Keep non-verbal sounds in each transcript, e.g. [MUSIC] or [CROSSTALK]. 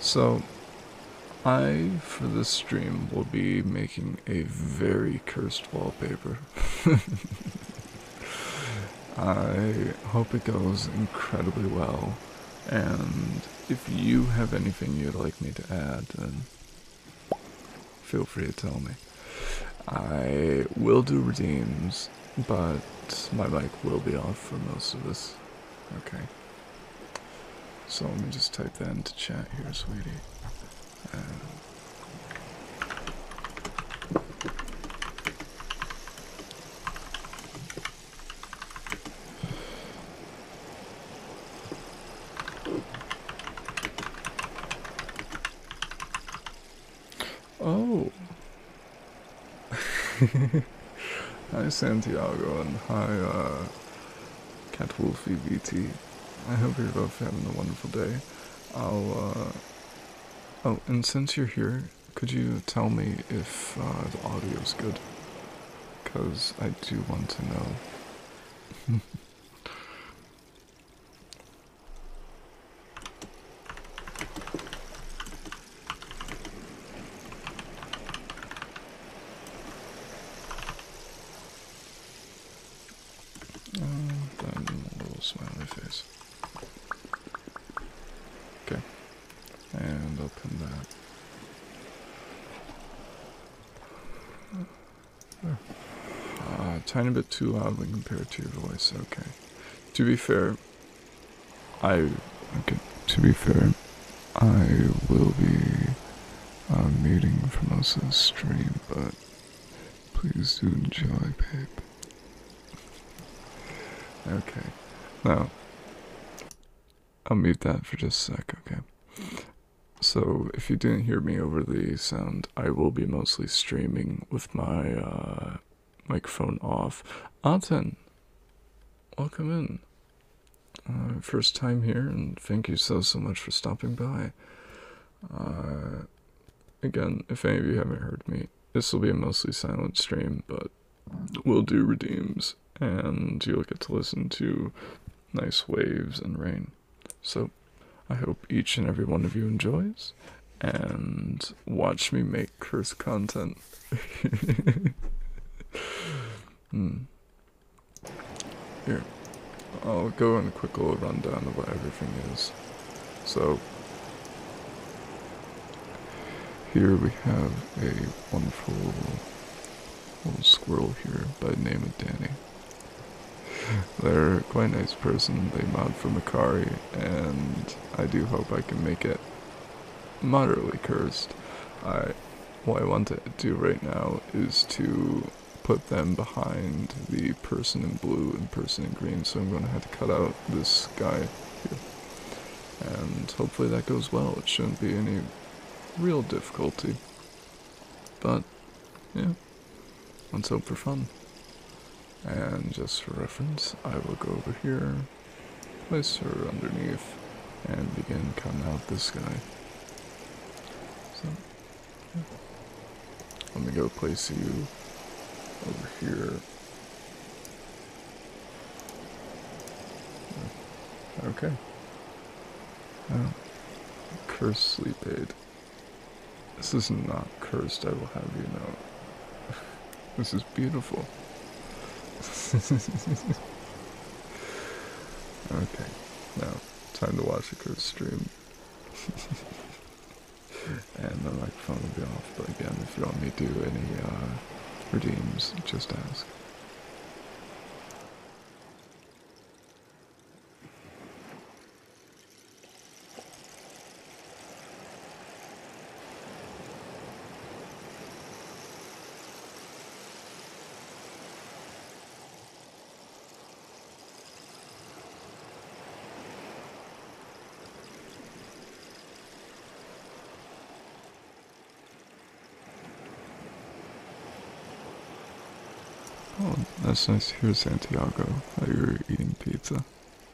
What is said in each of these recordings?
So, I, for this stream, will be making a very cursed wallpaper. [LAUGHS] I hope it goes incredibly well, and if you have anything you'd like me to add, then feel free to tell me. I will do redeems, but my mic will be off for most of this. Okay. So let me just type that into chat here, sweetie. Uh, oh, [LAUGHS] hi Santiago and hi uh, Cat Catwolf BT. I hope you're both having a wonderful day. i uh, oh, and since you're here, could you tell me if uh, the audio's good? Because I do want to know. [LAUGHS] smiley face. Okay. And open that. There. Uh, tiny bit too loud when compared to your voice. Okay. To be fair, I, okay, to be fair, I will be uh, meeting from us on stream, but please do enjoy, babe. Okay, now, I'll mute that for just a sec, okay? So, if you didn't hear me over the sound, I will be mostly streaming with my uh, microphone off. Anten, welcome in. Uh, first time here, and thank you so so much for stopping by. Uh, again, if any of you haven't heard me, this will be a mostly silent stream, but we'll do redeems, and you'll get to listen to nice waves and rain. So, I hope each and every one of you enjoys, and watch me make cursed content. [LAUGHS] Hmm. Here. I'll go in a quick little rundown of what everything is. So, here we have a wonderful little squirrel here by the name of Danny. They're quite a nice person, they mount for Makari, and I do hope I can make it moderately cursed. I what I want to do right now is to put them behind the person in blue and person in green, so I'm going to have to cut out this guy here. And hopefully that goes well, it shouldn't be any real difficulty. But, yeah, let's hope for fun. And just for reference, I will go over here, Place her underneath and begin cutting out this guy. So, yeah. i go place you over here. Okay. Oh. Uh, cursed sleep aid. This is not cursed, I will have you know. [LAUGHS] this is beautiful. [LAUGHS] okay, now time to watch the good stream. [LAUGHS] and the microphone will be off, but again, if you want me to do any uh, redeems, just ask. Oh, that's nice. Here's Santiago. I you are eating pizza.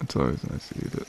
It's always nice to eat it.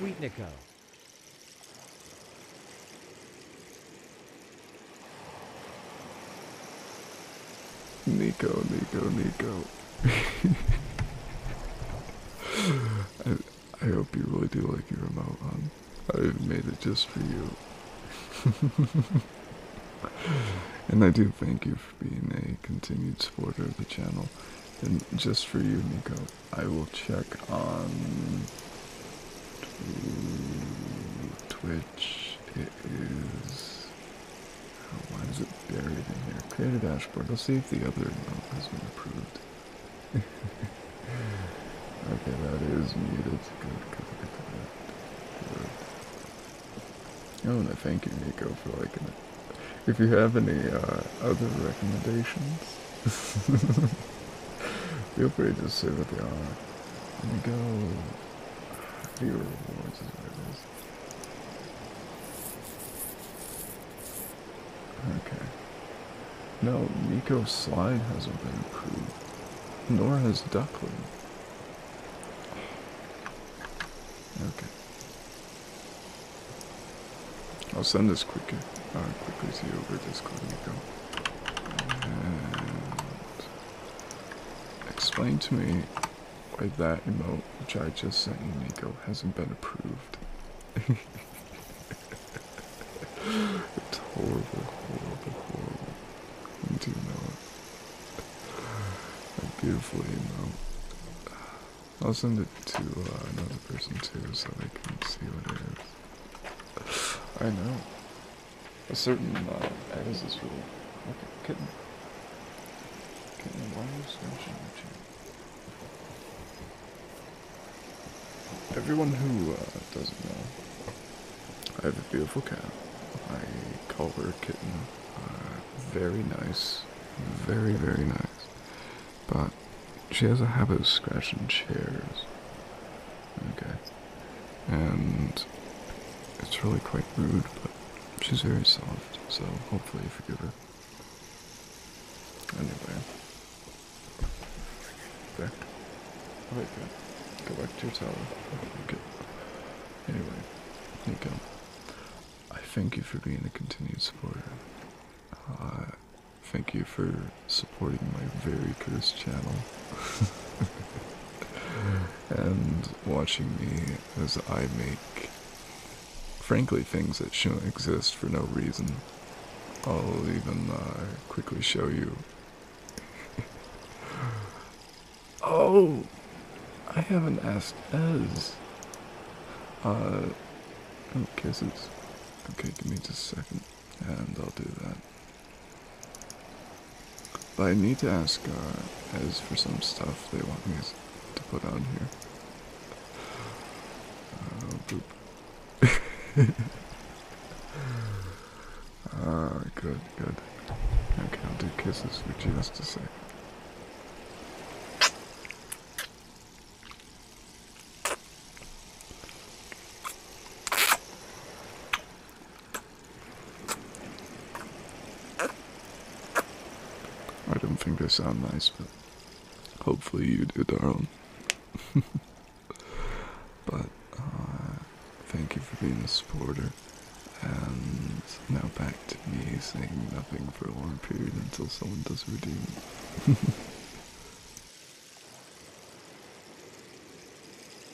Sweetnico. Nico, Nico, Nico. [LAUGHS] I, I hope you really do like your remote on. I made it just for you. [LAUGHS] and I do thank you for being a continued supporter of the channel. And just for you, Nico, I will check on Twitch it is. why is it buried in there? Create a dashboard. Let's see if the other one has been approved. [LAUGHS] okay, that is muted. Good, good, I want to thank you, Nico, for liking it. If you have any uh, other recommendations, [LAUGHS] feel free to say what they Three rewards is what it is. Okay. No, Nico Slide hasn't been approved. Nor has Duckling. Okay. I'll send this quickly, uh, quickly to you over Discord, Nico. And... Explain to me why that email, which I just sent you, Nico, hasn't been approved. it's horrible, horrible, horrible. do know A beautiful emote. I'll send it to uh, another person too so they can see what it is. I know a certain uh, as this rule. Okay, kitten. Kitten, why are you smashing my chair? Everyone who uh, doesn't know, I have a beautiful cat. I call her Kitten. Uh, very nice. Very, very nice. But she has a habit of scratching chairs. Okay and it's really quite rude, but she's very soft, so hopefully you forgive her. Anyway, back. Oh, I Go back to your tower. Okay. Anyway, Nico, I thank you for being a continued supporter. Uh, thank you for supporting my very cursed channel. [LAUGHS] and watching me as I make, frankly, things that shouldn't exist for no reason. I'll even uh, quickly show you. [LAUGHS] oh! I haven't asked Ez. Uh, oh, kisses. Okay, give me just a second, and I'll do that. But I need to ask as uh, for some stuff they want me to put on here. Oh, [LAUGHS] ah, good, good. Okay, I'll do kisses for just a second. I don't think they sound nice, but hopefully you do, darling. [LAUGHS] but uh, thank you for being a supporter. And now back to me saying nothing for a long period until someone does redeem it. [LAUGHS]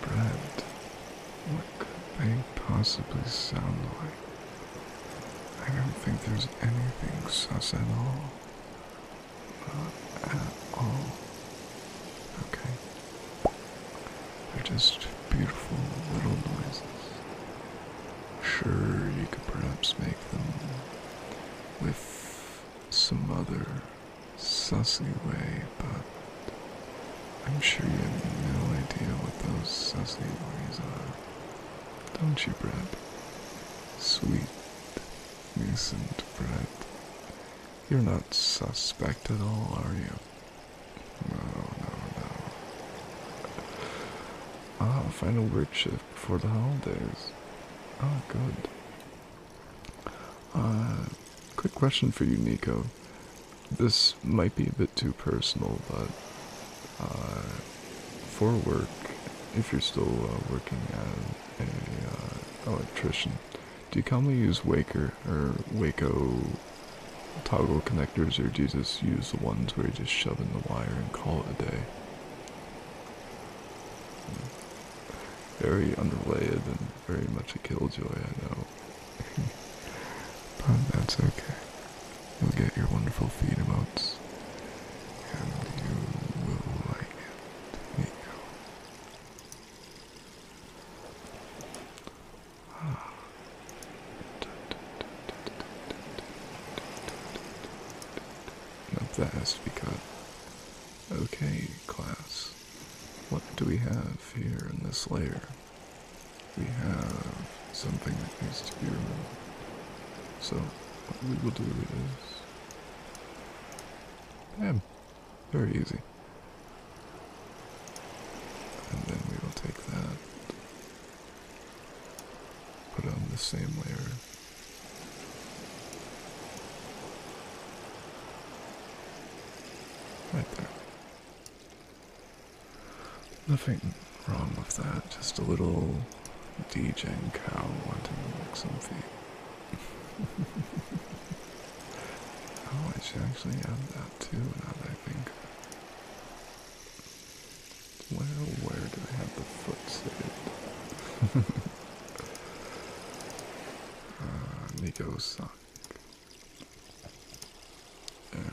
Brad, what could they possibly sound like? I don't think there's anything sus at all. Not at all. Okay. They're just beautiful little noises. Sure, you could perhaps make them with some other sussy way, but I'm sure you have no idea what those sussy ways are. Don't you, Brad? Sweet, innocent bread. You're not suspect at all, are you? No, no, no. Ah, a work shift before the holidays. Ah, good. Uh, quick question for you, Nico. This might be a bit too personal, but uh, for work, if you're still uh, working as an uh, electrician, do you commonly use Waker or Waco toggle connectors, or do you just use the ones where you just shove in the wire and call it a day? Very underlaid and very much a killjoy, I know. [LAUGHS] but that's okay. You'll get your wonderful feed and you will like it, Ah. Not that has to be cut. Okay, class. What do we have here in this layer? We have something that needs to be removed. So what we will do this. Bam! Very easy. And then we will take that, put on the same layer. Right there. Nothing wrong with that, just a little DJ and Cal wanting to make something. [LAUGHS] oh, I should actually add that too now that I think. Where, where do I have the foot saved? [LAUGHS] uh, Nico Sonic. Yeah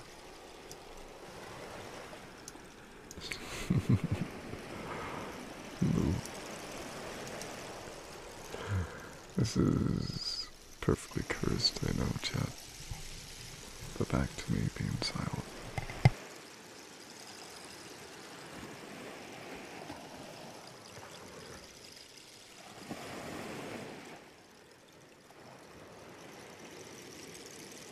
this is perfectly cursed, I know, chat. But back to me being silent.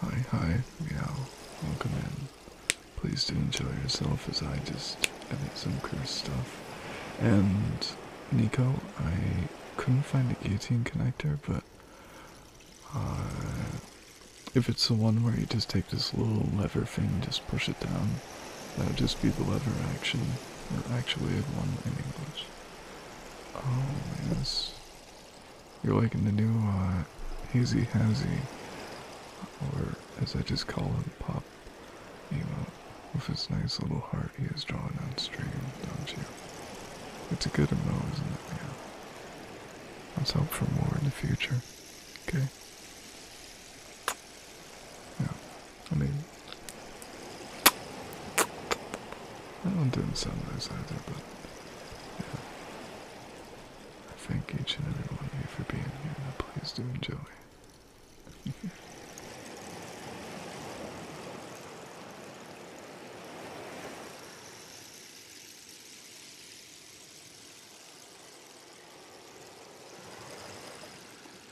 Hi, hi, meow. Welcome in. Please do enjoy yourself as I just edit some cursed stuff. And, Nico, I couldn't find a guillotine connector, but uh, if it's the one where you just take this little lever thing and just push it down, that would just be the lever action, or actually have one in English. Oh, yes. You're liking the new, uh, Hazy Hazy, or as I just call him, Pop You know, with his nice little heart he is drawing on stream, don't you? It's a good emote, isn't it? Yeah. Let's hope for more in the future, okay? Yeah. I mean, that one didn't sound nice either, but yeah. I thank each and every one of you for being here, and please do enjoy.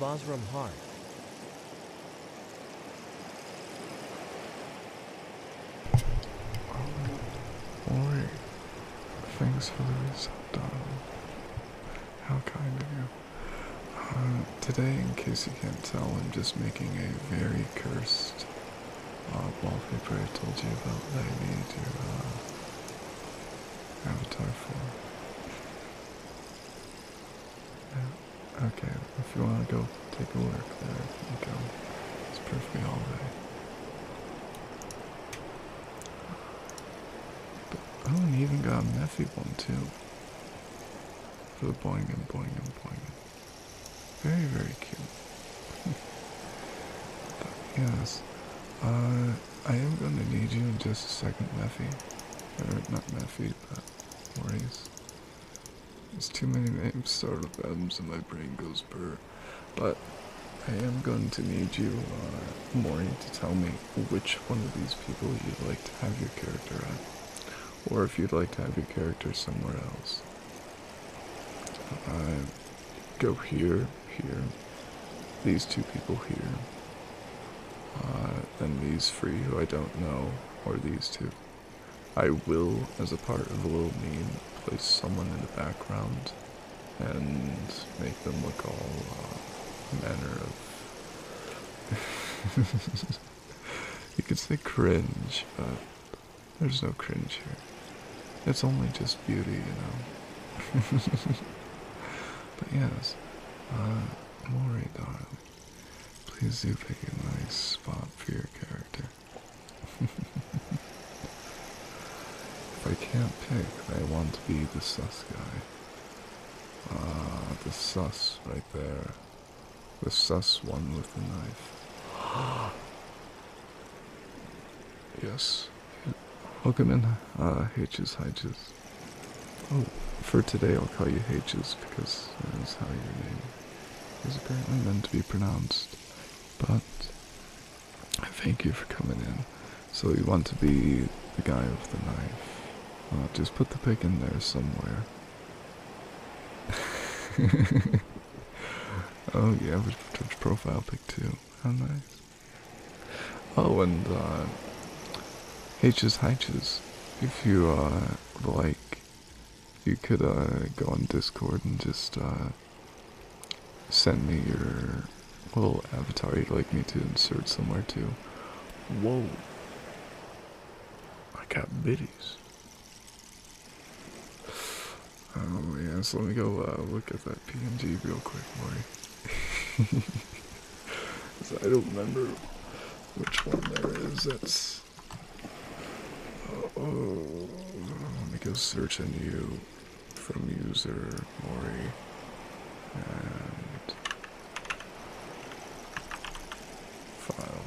Bosram Hart. Oh, Thanks for the risotto. How kind of you. Uh, today, in case you can't tell, I'm just making a very cursed uh, wallpaper I told you about that I made your uh, avatar for. Yeah. Okay, if you want to go take a look there, you go. It's perfectly alright. But, oh, and he even got a Mephi one too. For the boing and boing and boing. Very, very cute. but, [LAUGHS] yes. Uh, I am going to need you in just a second, Mephi. Or not Mephi, but Maurice. There's too many names start with M's and my brain goes burr. But I am going to need you, uh, Maury, to tell me which one of these people you'd like to have your character on. Or if you'd like to have your character somewhere else. I go here, here, these two people here, uh, and these three who I don't know, or these two. I will, as a part of the little meme, place someone in the background and make them look all uh, manner of. [LAUGHS] you could say cringe, but there's no cringe here. It's only just beauty, you know. [LAUGHS] but yes, uh, Maury, darling, please do pick a nice spot for your character. [LAUGHS] If I can't pick, I want to be the sus guy. Ah, the sus right there. The sus one with the knife. [GASPS] yes. Welcome in, uh, H's, H's. Oh, for today I'll call you H's because that is how your name is apparently meant to be pronounced. But Thank you for coming in. So you want to be the guy with the knife. Uh, just put the pick in there somewhere. [LAUGHS] oh yeah, we touch profile pick too. How nice. Oh, and uh, H's H's, if you uh, like, you could go on Discord and just send me your little avatar you'd like me to insert somewhere too. Whoa. I got bitties. Oh yeah, so let me go uh, look at that PNG real quick, Maury. [LAUGHS] I don't remember which one there is. That's. Uh, oh, let me go search in you from user Mori and file.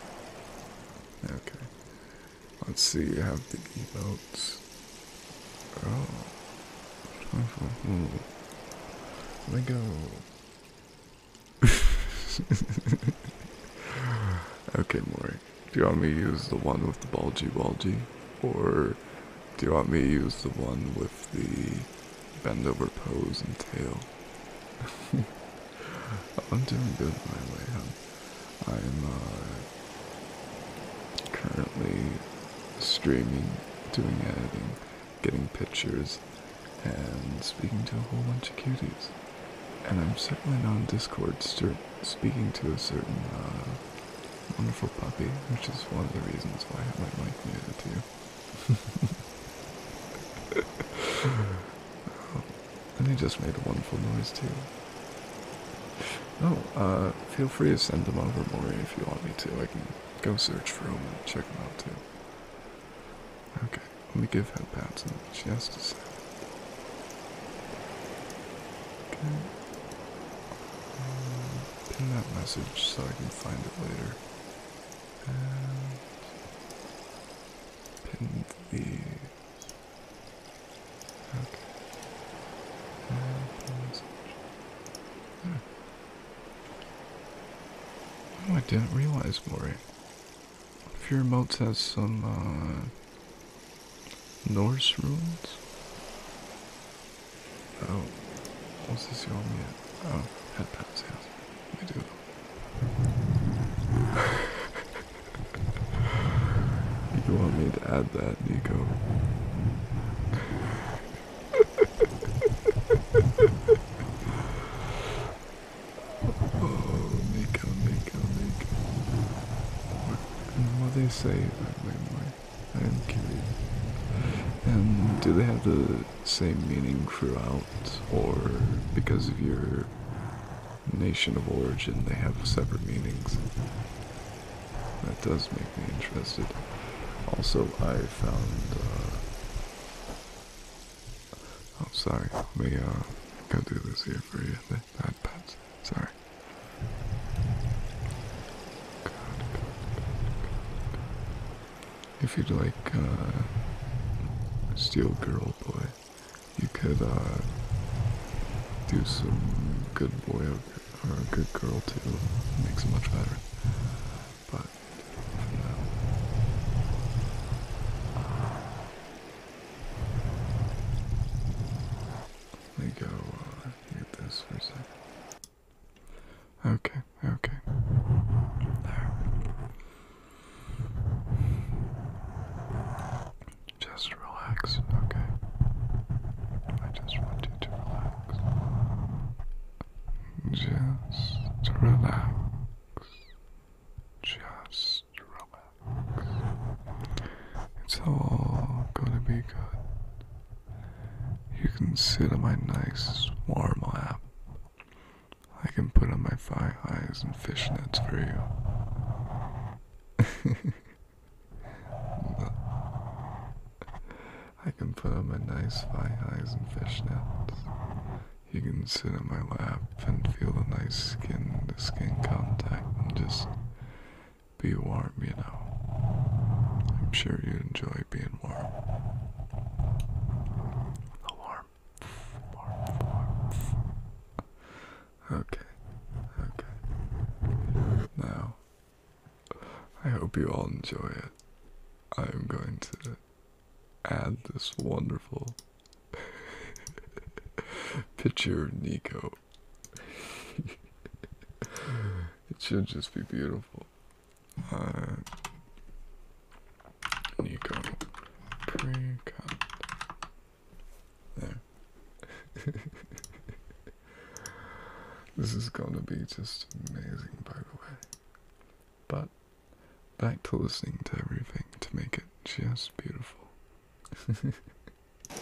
Okay. Let's see, you have the emotes. Oh. Hmm. go. [LAUGHS] okay, Mori. Do you want me to use the one with the bulgy bulgy? Or do you want me to use the one with the bend over pose and tail? [LAUGHS] I'm doing good, my way. I'm, uh, currently streaming, doing editing, getting pictures, and speaking to a whole bunch of cuties. And I'm certainly not on Discord, speaking to a certain uh, wonderful puppy, which is one of the reasons why I might like it to you. and he just made a wonderful noise too. Oh, feel free to send them over, Maury, if you want me to. I can go search for them and check them out too. Okay, let me give her pats and she has to Okay pin that message so I can find it later. And pin the okay. Hmm. Oh, I didn't realize, Mori. If your remote has some uh, Norse runes. Oh, what's this your me at? Oh, at Pat's house. I do [LAUGHS] you want me to add that, Nico? [LAUGHS] oh, Nico, Nico, Nico. What, what they say? Wait, wait, I'm curious. And do they have the same meaning throughout, or because of your nation of origin, they have separate meanings? That does make me interested. Also, I found. Uh, oh, sorry. Let me uh, go do this here for you. That, that Sorry. If you'd like uh, Steel Girl Boy, you could uh, do some good boy or, a good girl too. It makes it much better. But uh, let me go uh, this for a second. Okay, okay. Just relax, okay? I just want you to relax. Just relax. Just relax. It's all gonna be good. You can sit on my nice, warm lap. I can put on my thigh highs and fishnets for you. [LAUGHS] I can put on my nice thigh highs and fishnets. You can sit on my lap and feel the nice skin to skin contact and just be warm, you know. I'm sure you enjoy being and Okay. Okay. Now, I hope you all enjoy it. I am going to add this wonderful [LAUGHS] picture of Nico. [LAUGHS] it should just be beautiful. Nico uh, pre There. [LAUGHS] this is gonna be just amazing, by the way. But back to listening to everything to make it just beautiful. [LAUGHS]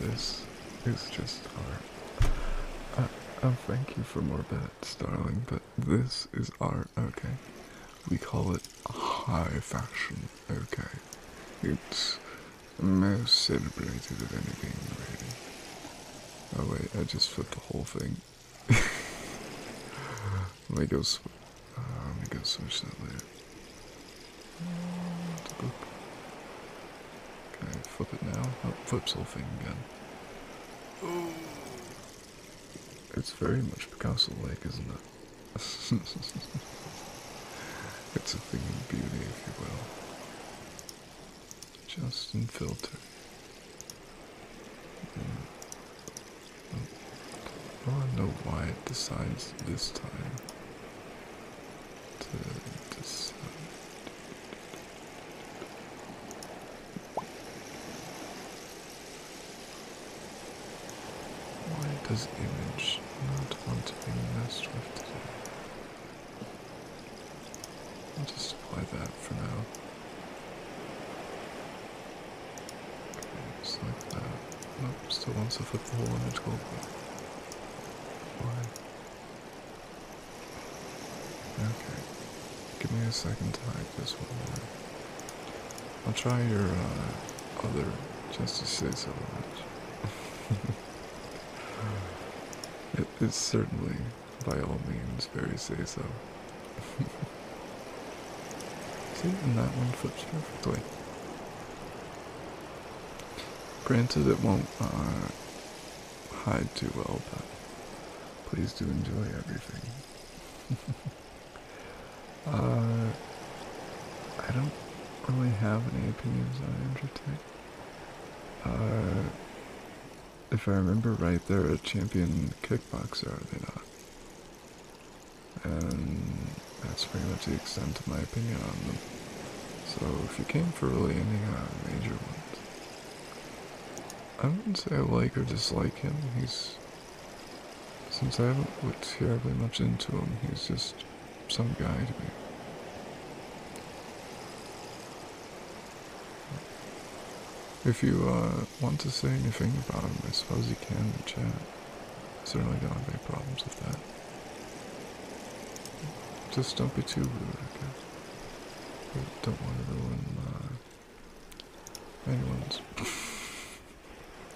This is just art. I, uh, oh, thank you for more bets, darling, but this is art, okay? We call it high fashion, okay? It's most celebrated of anything, Oh wait, I just flipped the whole thing. [LAUGHS] let me go. Uh, let me go switch that later. Okay, flip it now. Oh, flips whole thing again. It's very much Picasso-like, isn't it? [LAUGHS] it's a thing of beauty, if you will. Justin Filter. Mm. Oh, I don't know why it decides this time why does image not want to be messed with today? I'll just apply that for now. just like that. Nope, still wants to flip the whole image over. Okay. Give me a second to hide one more. I'll try your uh, other just to say so much. [LAUGHS] it is certainly, by all means, very say so. [LAUGHS] See, and that one flips perfectly. Granted, it won't uh, hide too well, but please do enjoy everything. [LAUGHS] Uh, I don't really have any opinions on Andrew uh, if I remember right, they're a champion kickboxer, are they not? And that's pretty much the extent of my opinion on them. So if you came for really any uh, major ones, I do not say I like or dislike him. He's since I haven't looked terribly much into him. He's just some guy to me. If you uh, want to say anything about him, I suppose you can in chat. Certainly don't have any problems with that. Just don't be too rude, I guess. don't want to ruin my... anyone's... [LAUGHS]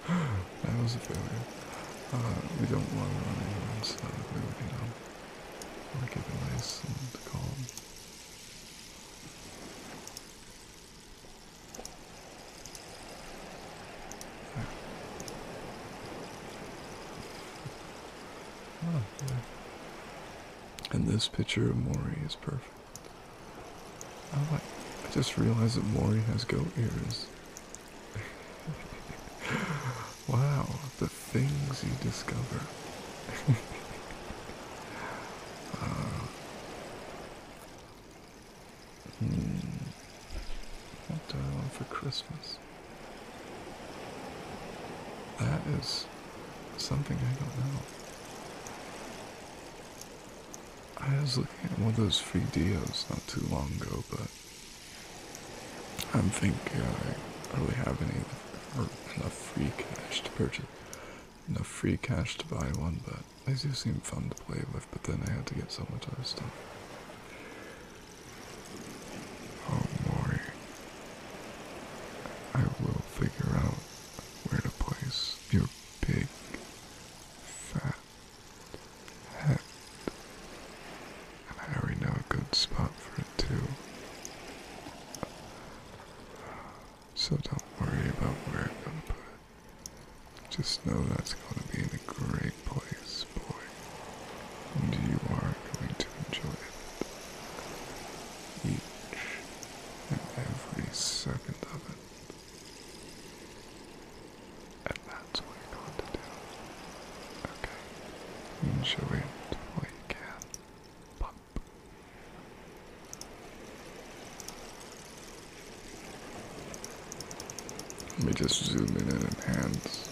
that was a failure. Uh, we don't want to ruin anyone's uh, mood, you know. We want to keep it nice and calm. Oh, and this picture of Mori is perfect. Oh, I, just realized that Mori has goat ears. [LAUGHS] wow, the things you discover. [LAUGHS] Uh, hmm. What do I want for Christmas? That is something I don't know. I was looking at one of those free deals not too long ago, but I don't think uh, I really have any enough free cash to purchase. Enough free cash to buy one, but they do seem fun to play with, but then I had to get so much other stuff. Oh, Maury. I will figure out where to place your big, fat head. And I already know a good spot for it, too. So don't worry about where I'm gonna put it. Just know that's gonna be in the great take place, boy, and you are going to enjoy Each and every second of it. And that's what you're going to do. Okay. Enjoy it while can. Pop. Let me just zoom in and hands.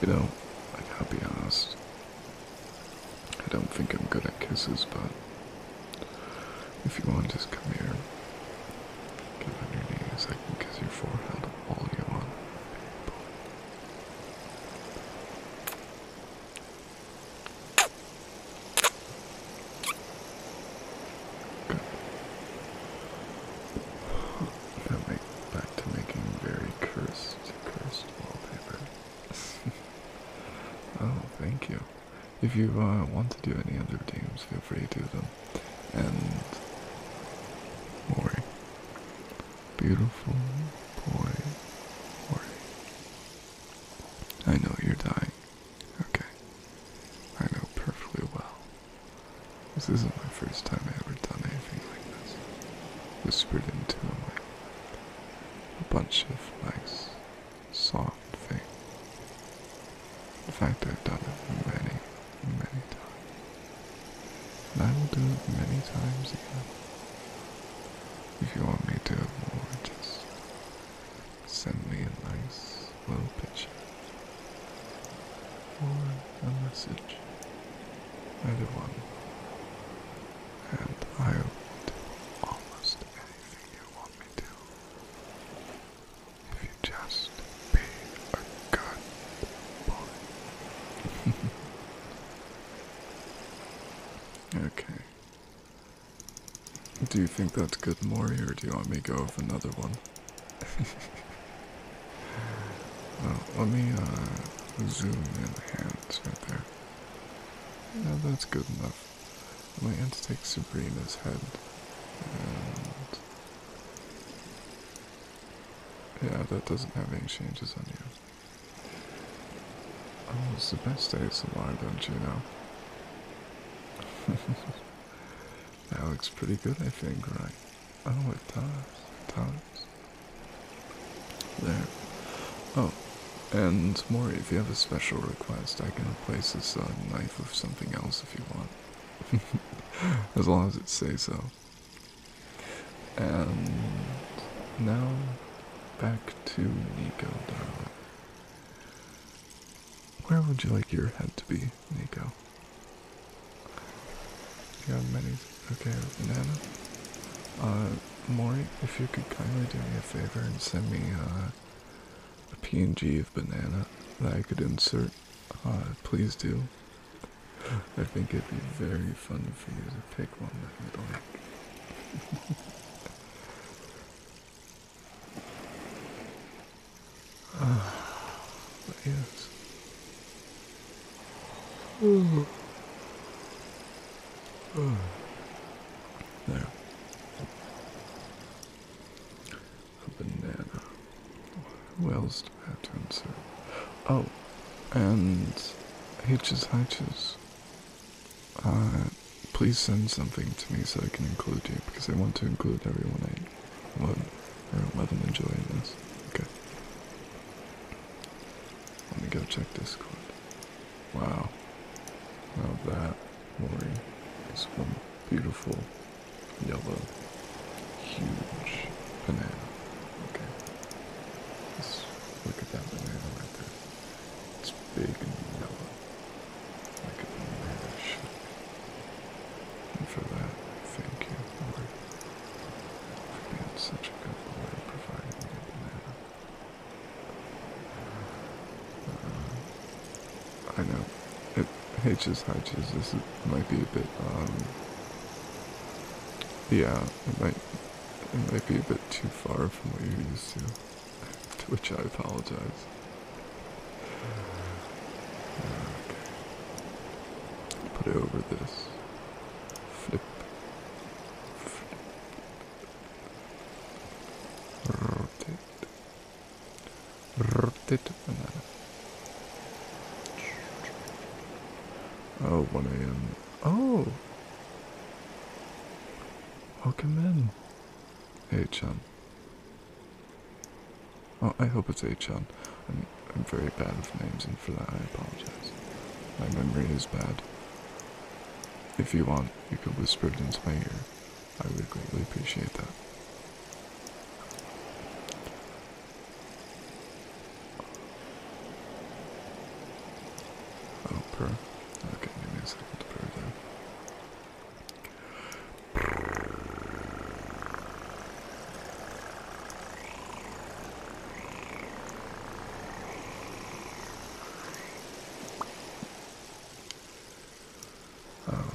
You know, I gotta be honest. I don't think I'm good at kisses, but if you want, just come here. Get on your knees. I can kiss your forehead all you want back to making very cursed, cursed wallpaper. [LAUGHS] oh, thank you. If you uh, want to do any other games, feel free to do them. And more beautiful boy, worry. I know you're dying. Okay, I know perfectly well this isn't my first time I ever done anything like this. Whispered into a A bunch of nice, soft things. In fact, I've done it many, many times. I will do it many times again. If you want me to do more, just send me a nice little picture or a message everyone, and I will do almost anything you want me to if you just be a good boy. [LAUGHS] okay. Do you think that's good, Maury, or do you want me to go with another one? [LAUGHS] Uh, let me uh, zoom in the hands right there. Yeah, that's good enough. Let me have to take Sabrina's head. yeah, that doesn't have any changes on you. Oh, it's the best of life, don't you know? [LAUGHS] that looks pretty good, I think, right? Oh, it does. does. There. Oh, and Mori, if you have a special request, I can replace this uh, knife with something else if you want. [LAUGHS] as long as it says so. And now, back to Nico, darling. Where would you like your head to be, Nico? You have many. Okay, Nana. Uh, Maury, if you could kindly do me a favor and send me uh, a PNG of banana that I could insert, uh, please do. I think it'd be very fun for you to pick one that you'd like. uh, [LAUGHS] yes. Ooh. There. A banana. Who else do I have to insert? Oh, and Hitches Hitches. Uh, please send something to me so I can include you, because I want to include everyone I love, i or 11 enjoying this. Okay. Let me go check Discord. Wow. Now that lorry is one beautiful yellow huge banana. Okay. let look at that banana right there. It's big and yellow. Like a banana should And for that, thank you, Lord. Again, such a good boy, providing me a banana. I know, it hitches hitches, this might be a bit, um, yeah, it might, it might be a bit too far from what you're used to, [LAUGHS] to which I apologize. Okay. Put it over this. Flip. Rotate. Rotate banana. Oh, 1 a.m. Oh! Welcome in. Hey, Chan. Oh, I hope it's Achan. I I'm, very bad with names, and for that I apologize. My memory is bad. If you want, you could whisper it into my ear. I would greatly appreciate that. Oh, purr. Okay, give me a second purr there. Oh,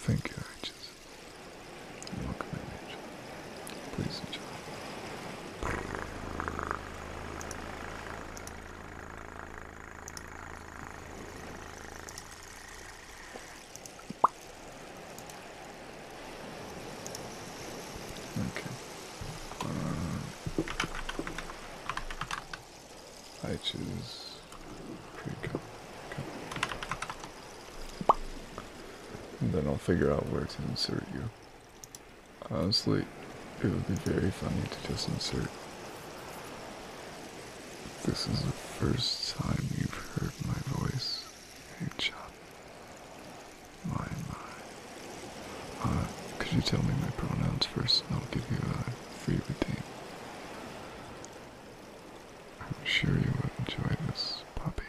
thank you, Arches. Welcome in Please enjoy. Okay. Uh, I choose pre then I'll figure out where to insert you. Honestly, it would be very funny to just insert. This is the first time you've heard my voice. Hey, my, my. Uh, could you tell me my pronouns first and I'll give you a free redeem? I'm sure you will enjoy this, puppy.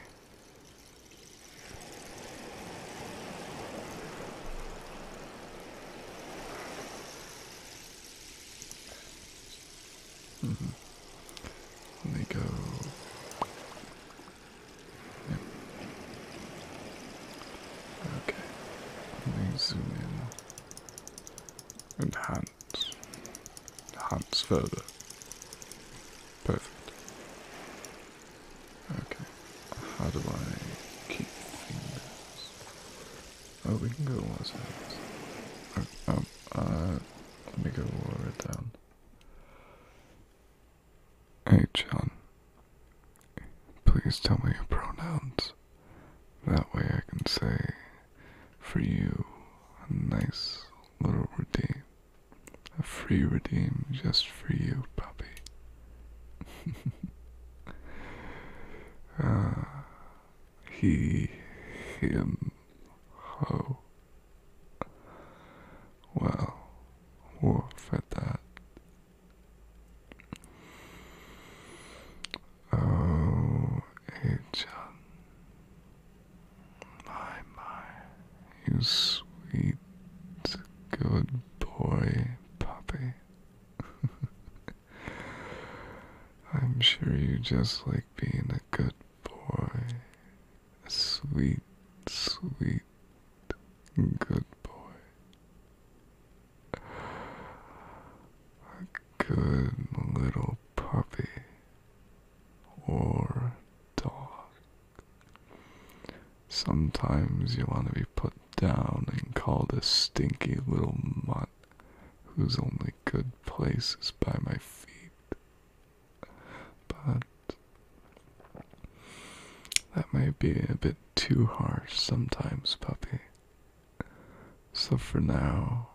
-hmm. Let me go Okay, let me zoom in. Enhance. Enhance further. Perfect. Okay, how do I keep fingers? Oh, we can go ourselves. Oh, um, uh, let me go lower it down. Hey, John. Please tell me your pronouns. That way I can say, for you, a nice little redeem. A free redeem just for you, puppy. uh, [LAUGHS] he, him, ho. Well, wolf at that. Oh, Agent. My, my, you sweet, good boy, puppy. [LAUGHS] I'm sure you just like being a good boy, sweet, sweet, good boy. A good little puppy or dog. Sometimes you want to be put down and called a stinky little mutt whose only good place is by my feet but that might be a bit too harsh sometimes, puppy. So for now,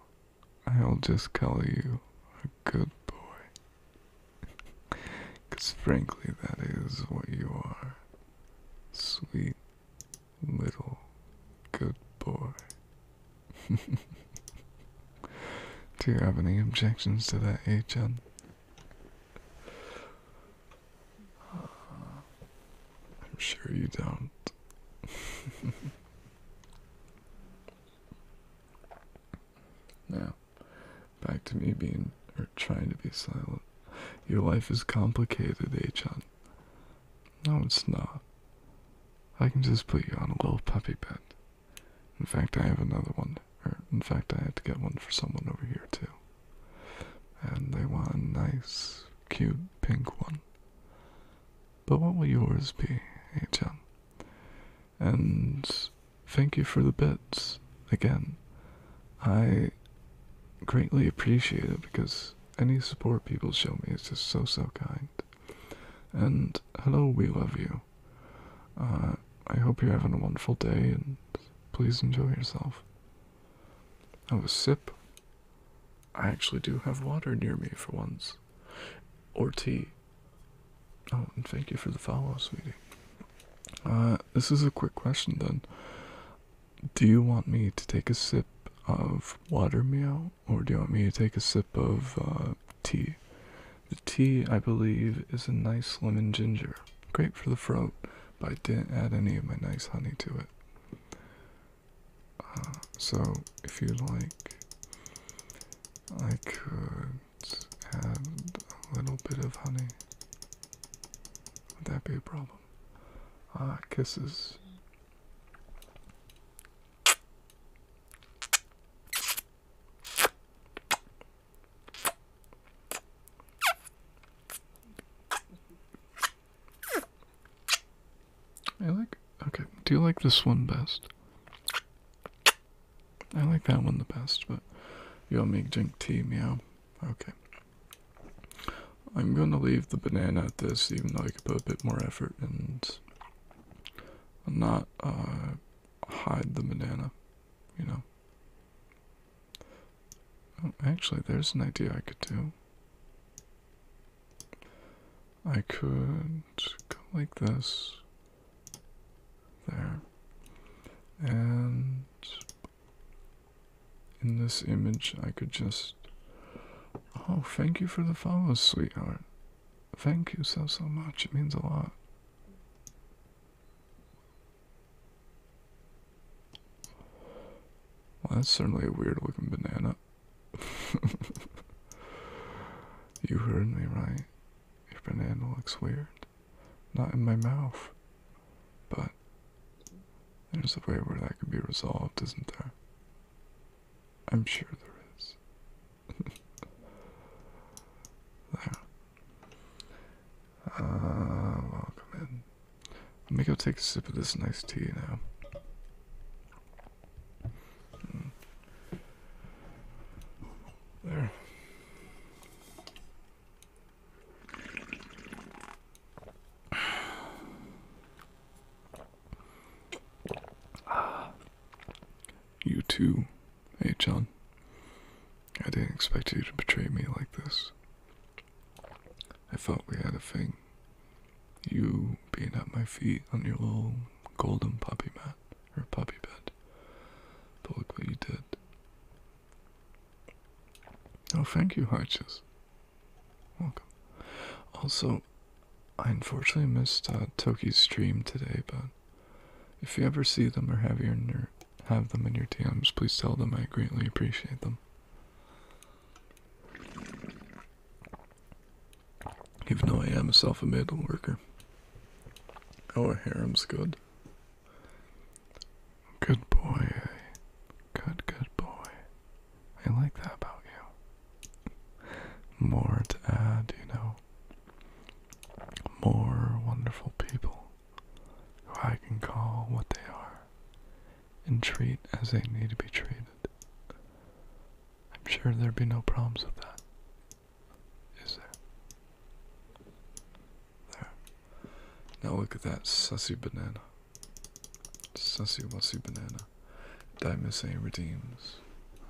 I'll just call you a good boy, [LAUGHS] 'cause frankly, that is what you are. Sweet little good boy. [LAUGHS] Do you have any objections to that, HN? I'm sure you don't. [LAUGHS] now, back to me being or trying to be silent. Your life is complicated, Achan. No, it's not. I can just put you on a little puppy bed. In fact, I have another one. Or in fact, I have to get one for someone over here too. And they want a nice, cute pink one. But what will yours be, HM? And thank you for the bits again. I greatly appreciate it because any support people show me is just so so kind. And hello, we love you. Uh, I hope you're having a wonderful day and please enjoy yourself. Oh, a sip. I actually do have water near me for once. Or tea. Oh, and thank you for the follow, sweetie. Uh, this is a quick question then. Do you want me to take a sip of water meow, or do you want me to take a sip of uh, tea? The tea, I believe, is a nice lemon ginger. Great for the throat, but I didn't add any of my nice honey to it. Uh, so, if you like, I could add a little bit of honey. Would that be a problem? Ah, kisses. I like, okay, do you like this one best? I like that one the best, but you'll make drink tea, meow. Okay. I'm gonna leave the banana at this, even though I could put a bit more effort and not uh, hide the banana, you know. Oh, actually, there's an idea I could do. I could go like this. There. And in this image, I could just. Oh, thank you for the follows, sweetheart. Thank you so, so much. It means a lot. Well, that's certainly a weird looking banana. [LAUGHS] you heard me right. Your banana looks weird. Not in my mouth. But there's a way where that could be resolved, isn't there? I'm sure there is. [LAUGHS] there. Uh, welcome in. Let me go take a sip of this nice tea now. Hmm. There. [SIGHS] You too Hey, John. I didn't expect you to betray me like this. I thought we had a thing. You being at my feet on your little golden puppy mat, or puppy bed. But look what you did. Oh, thank you, Harches. Welcome. Also, I unfortunately missed uh, Toki's stream today, but if you ever see them or have, them in your DMs, please tell them I greatly appreciate them. Even though I am a self-admitted worker. Oh, harem's good. Good boy. Good, good boy. I like that about you. More to add, you know. More wonderful people who I can call what they are and treat as they need to be treated. I'm sure there'd be no problems with that. Is there? There. Now look at that sussy banana. Sussy wussy banana. Diamond saint redeems?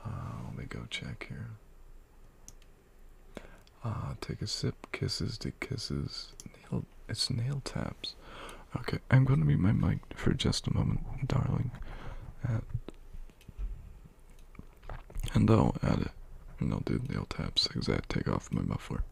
Uh, let me go check here. Ah, take a sip. Kisses to kisses. Nail, it's nail taps. Okay, I'm going to mute my mic for just a moment, darling. At, and I'll add it. And I'll do nail taps. Exact. Take off my muffler.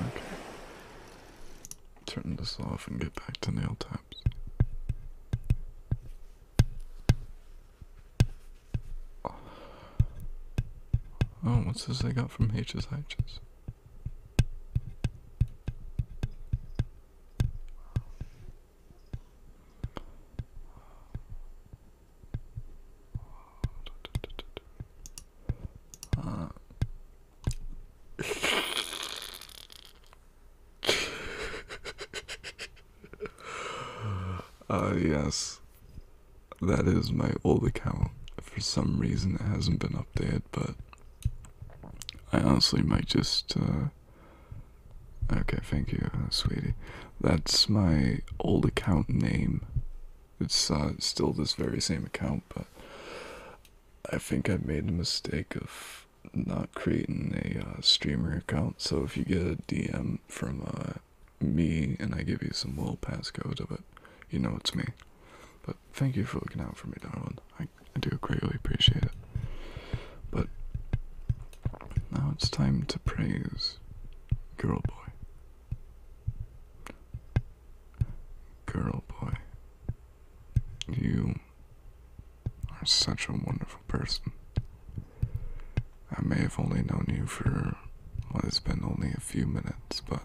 Okay. Turn this off and get back to nail taps. Oh, what's this I got from H's [LAUGHS] H's? [LAUGHS] Ah yes, that is my old account. For some reason, it hasn't been updated, but I honestly might just. Uh, okay, thank you, uh, sweetie. That's my old account name. It's uh, still this very same account, but I think I made a mistake of not creating a streamer account. So if you get a DM from uh, me, and I give you some little passcode of it. You know it's me. But thank you for looking out for me, darling. I, I do greatly appreciate it. But now it's time to praise Girl Boy. Girl Boy. You are such a wonderful person. I may have only known you for what has been only a few minutes, but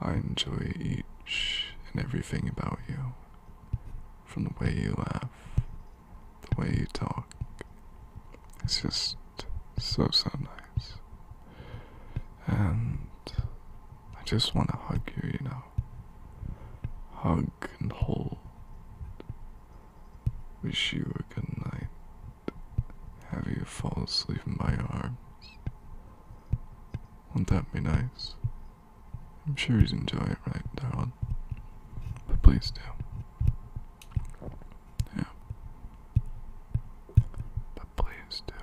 I enjoy each and everything about you. From the way you laugh, the way you talk. It's just so, so nice. And I just want to hug you, you know. Hug hug and Wish you a good night. Have you fall asleep in my arms. Won't that be nice? I'm sure he's enjoying it, right, darling? But please do. Yeah. But please do,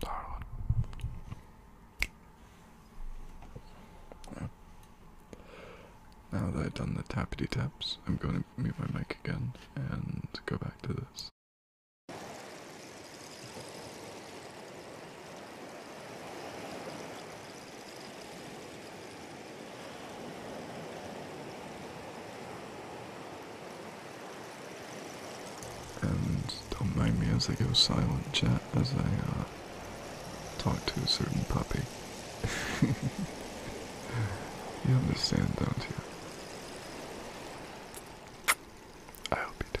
darling. Now that I've done the tappity taps, I'm going to move my mic again and go back to this. And don't mind me as I go silent chat as I uh, talk to a certain puppy. [LAUGHS] you understand, don't you? I hope you do.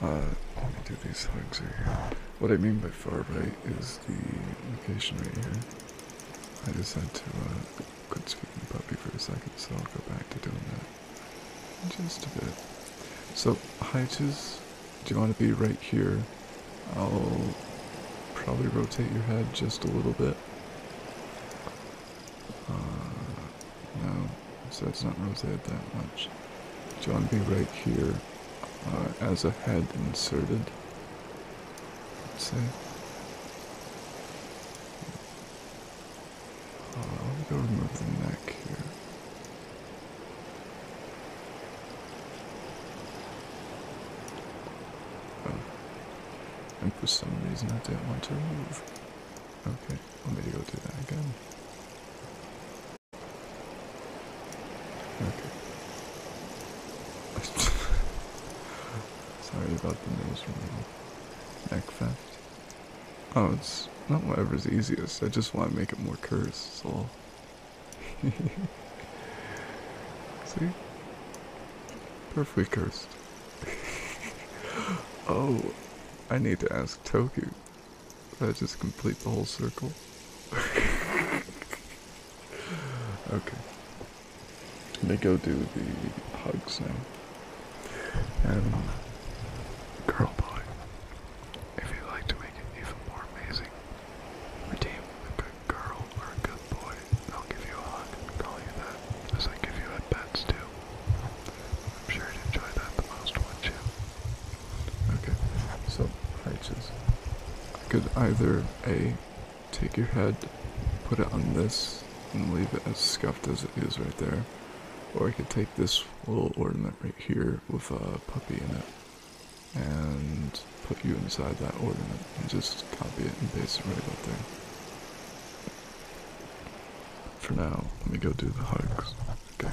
Uh, uh, these things here. What I mean by far right is the location right here. I just had to uh, quit speaking puppy for a second, so I'll go back to doing that just a bit. So, Heights, do you want to be right here? I'll probably rotate your head just a little bit. Uh, no, so it's not rotated that much. Do you want to be right here uh, as a head inserted? So, uh, I'll go remove the neck here. Oh. And for some reason I didn't want to move. Okay, want me to go do that again? Okay. [LAUGHS] [LAUGHS] Sorry about the noise removal. Neck theft. Oh, it's not whatever's easiest. I just want to make it more cursed, so. [LAUGHS] See? Perfectly cursed. [LAUGHS] oh, I need to ask Toku. That just complete the whole circle. [LAUGHS] okay. Let me go do the hugs now. Um, girl boy, if you like to make it even more amazing, redeem a good girl or a good boy. I'll give you a hug and call you that, as I give you at bats too. I'm sure you'd enjoy that the most, wouldn't you? Okay, so I just could either A Take your head, put it on this, and leave it as scuffed as it is right there. Or I could take this little ornament right here with a puppy in it and put you inside that ornament and just copy it and paste it right up there. For now, let me go do the hugs. Okay.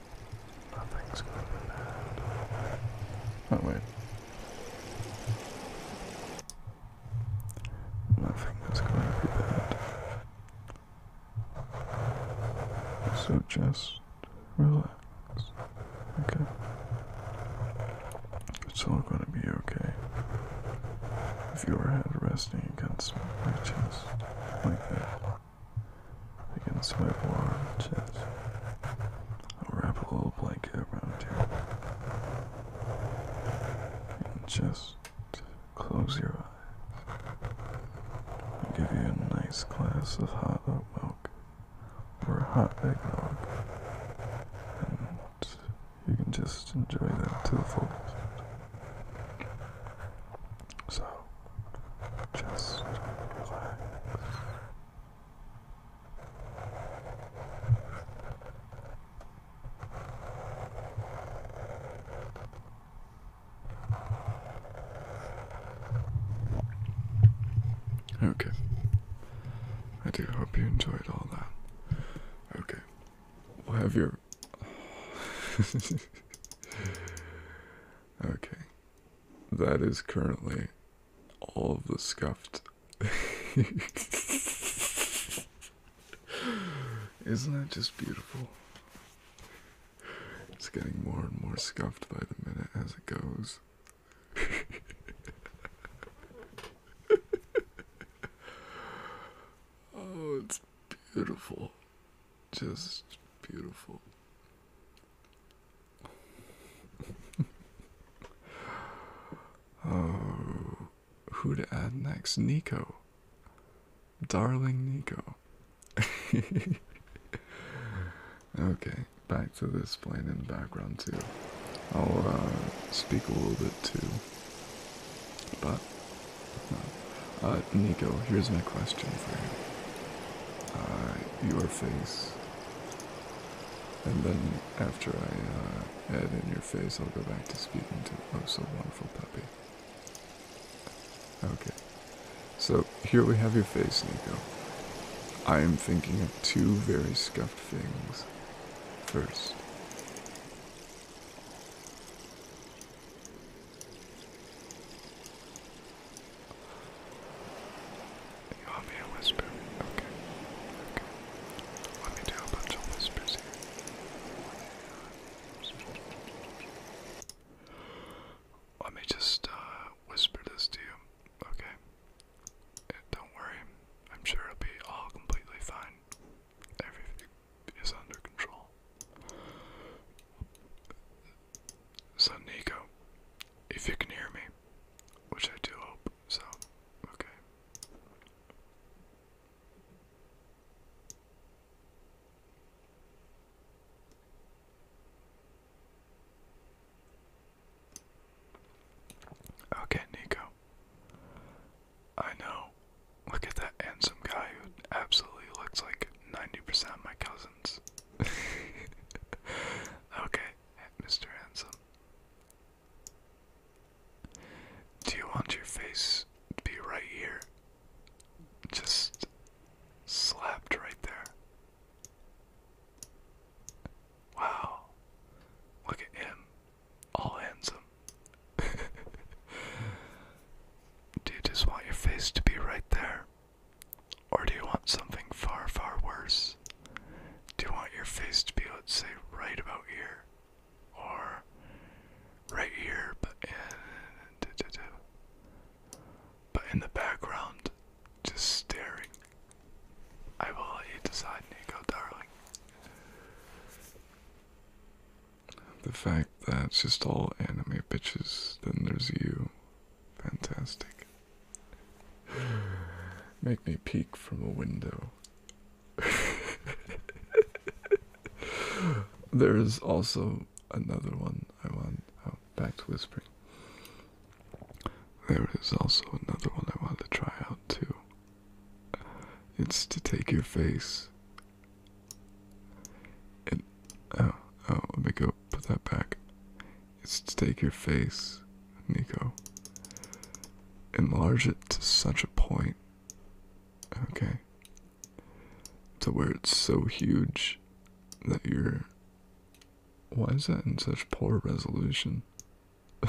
Nothing's gonna be bad. Oh wait. Nothing going to be bad. So just relax. Okay. It's all gonna be okay. If your head resting against my chest like that against my warm chest. I'll wrap a little blanket around you. And just close your eyes. I'll give you a nice glass of hot oat milk or hot eggnog. And you can just enjoy that to the fullest. So, just relax. Okay. I do hope you enjoyed all that. Okay. We'll have your. [LAUGHS] okay. That is currently all of the scuffed. [LAUGHS] Isn't that just beautiful? It's getting more and more scuffed by the minute as it goes. [LAUGHS] oh, it's beautiful. Just beautiful. [LAUGHS] oh, who to add next? Nico. Darling Nico. [LAUGHS] okay, back to this plane in the background too. I'll uh, speak a little bit too. But, uh, Nico, here's my question for you. Uh, your face and then after I uh, add in your face, I'll go back to speaking to oh so wonderful puppy. Okay, so here we have your face, Nico. I am thinking of two very scuffed things. First. You want me to whisper? Okay. Okay. Let me do a bunch of whispers here. Let me just uh, whisper this to you, okay? Uh, don't worry, I'm sure it'll be all completely fine. Everything is under control. Son Nico, if you can hear me, which I do hope, so, okay. Okay, Nico. I know. Look at that handsome guy who absolutely looks like 90% of my cousins. [LAUGHS] okay, Mr. Handsome. Do you want your face to be right here? Just slapped right there. Wow. Look at him. All handsome. [LAUGHS] Do you just want your face to be right there? Or do you want something far, far worse? Do you want your face to be, let's say, right about here? Or right here, but in, but in the background, just staring? I will let you decide, Nico, darling. The fact that it's just all anime bitches, then there's you. Fantastic. Make me peek from a window. [LAUGHS] there is also another one I want. Oh, back to whispering. There is also another one I want to try out too. It's to take your face. And oh, oh, let me go put that back is to take your face, Nico, enlarge it to such a point, okay, to where it's so huge that you're. Why is that in such poor resolution? [LAUGHS]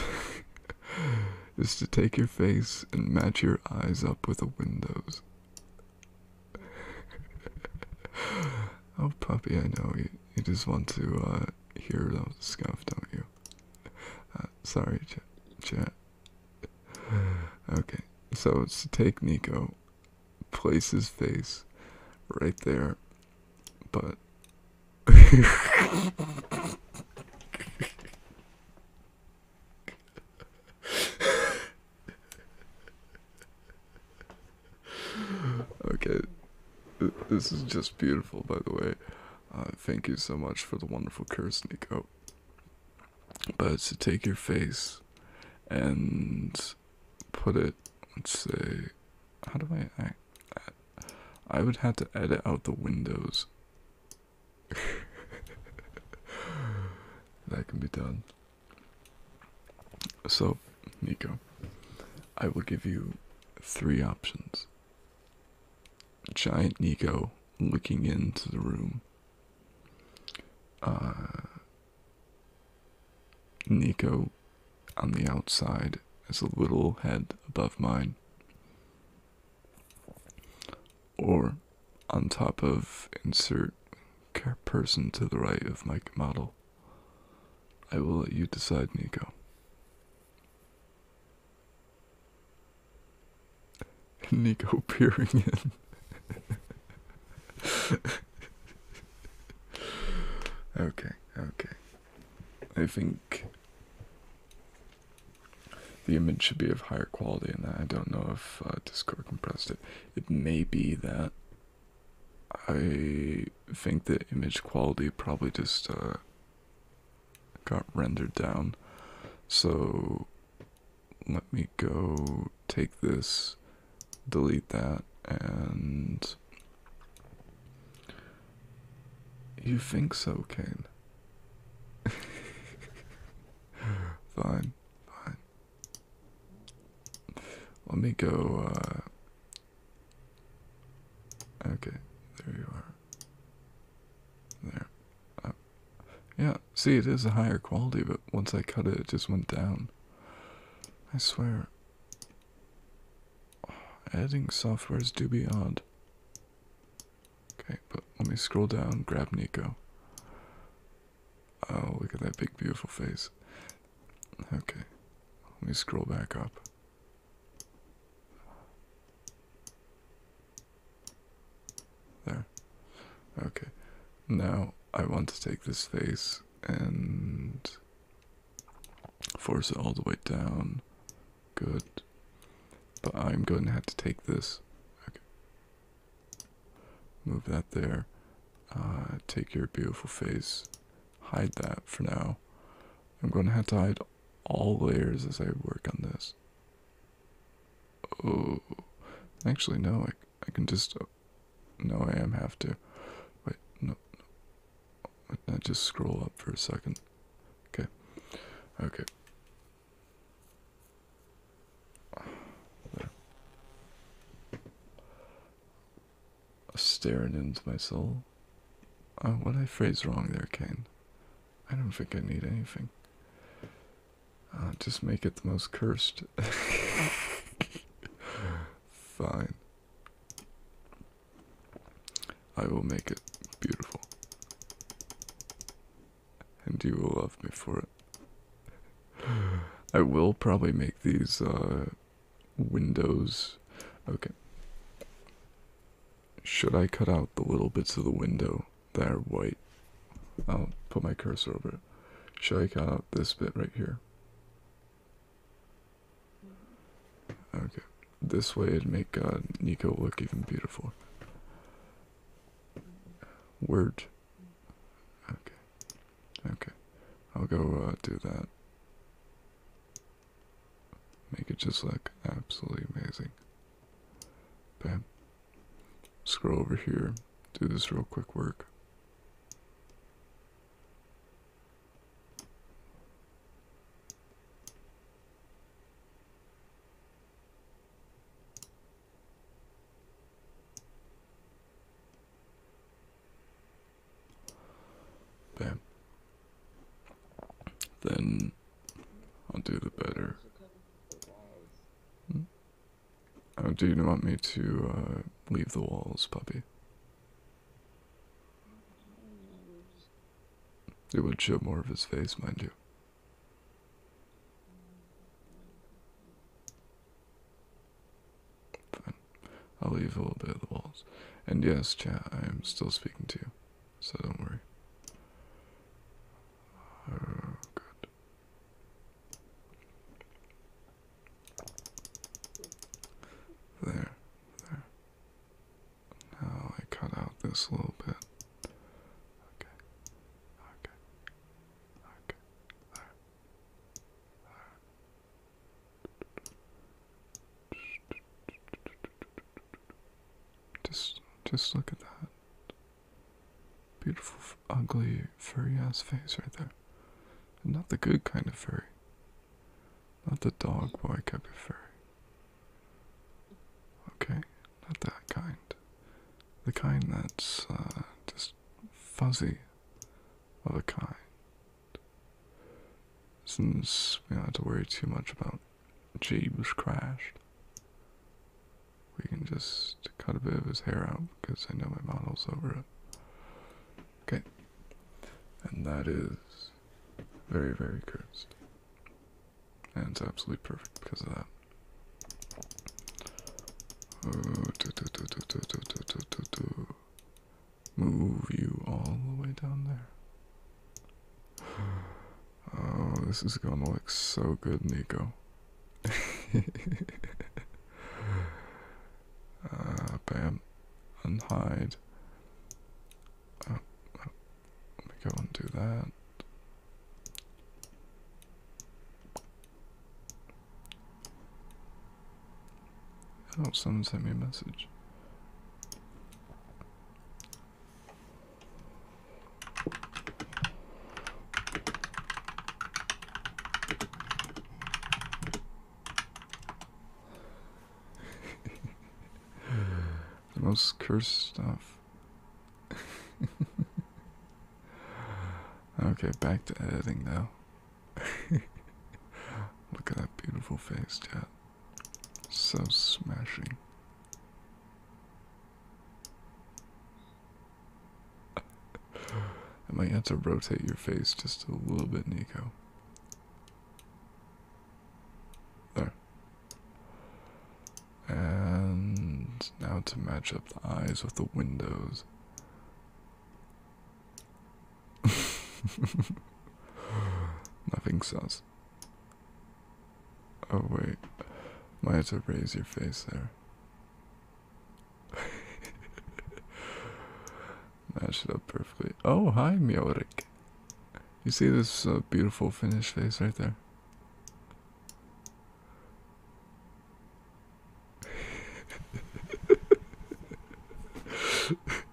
is to take your face and match your eyes up with the windows. [LAUGHS] oh, puppy, I know you. You just want to uh, hear those scuff, don't you? Uh, sorry, ch chat. Okay, so it's to take Nico, place his face right there, but. [LAUGHS] [LAUGHS] okay, this is just beautiful, by the way. Uh, thank you so much for the wonderful curse, Nico. But to take your face and put it, let's say, how do I act? I would have to edit out the windows. [LAUGHS] that can be done. So, Nico, I will give you three options. Giant Nico looking into the room. Ah. Nico on the outside is a little head above mine. Or on top of insert person to the right of my model. I will let you decide, Nico. [LAUGHS] Nico peering in. [LAUGHS] okay, okay. I think the image should be of higher quality, and I don't know if uh, Discord compressed it. It may be that I think the image quality probably just uh, got rendered down. So let me go take this, delete that, and. You think so, Kane? [LAUGHS] fine, fine. Let me go uh, Okay, there you are. There. yeah, see, it is a higher quality, but once I cut it, it just went down. I swear. Oh, software is do be odd. Okay, but let me scroll down, grab Nico. Oh, look at that big, beautiful face. Okay, let me scroll back up. There. Okay. Now I want to take this face and force it all the way down. Good. But I'm going to have to take this. Okay. Move that there. Uh, take your beautiful face hide that for now. I'm going to have to hide all layers as I work on this. Oh, actually, no, I, I can just. Uh, no, I am have to. Wait, no, I just scroll up for a second. Okay. Okay staring into my soul. Uh, what I phrase wrong there, Kane? I don't think I need anything. Uh, just make it the most cursed. [LAUGHS] Fine. I will make it beautiful. And you will love me for it. [GASPS] I will probably make these uh, windows. Okay. Should I cut out the little bits of the window that are white? I'll put my cursor over it. Should I cut out this bit right here? Okay. This way it'd make uh, Nico look even beautiful. Word. Okay. Okay. I'll go uh, do that. Make it just look absolutely amazing. Okay. Scroll over here, do this real quick work. Bam. Then I'll do the better. Hmm? Oh, do you want me to uh, leave the walls, puppy? It would show more of his face, mind you. I'll leave a little bit of the walls. And yes, chat, I am still speaking to you, so don't worry. Oh, good. There, there. Now I cut out this little bit. Okay, okay, okay, there, there, just, just look at that beautiful, ugly, furry-ass face right there. not the good kind of furry. Not the dog boy kind of furry. Okay, not that kind. The kind that's uh, just fuzzy of a kind. Since we don't have to worry too much about Jeebus crashed, we can just cut a bit of his hair out because I know my model's over it. Okay. And that is very, very cursed. And it's absolutely perfect because of that. Move you all the way down there. Oh, this is gonna look so good, Nico. uh, [LAUGHS] bam. Unhide. Oh, oh. Let me go and do that. I Oh, someone sent me a message. [LAUGHS] the most cursed stuff. [LAUGHS] okay, back to editing now. [LAUGHS] Look at that beautiful face, chat. So smashing. I might have to rotate your face just a little bit, Nico. There. And now to match up the eyes with the windows. [LAUGHS] Nothing sus. Oh wait, might have to raise your face there. [LAUGHS] Matched up perfectly. Oh, hi, Miorik. You see this uh, beautiful finished face right there? [LAUGHS]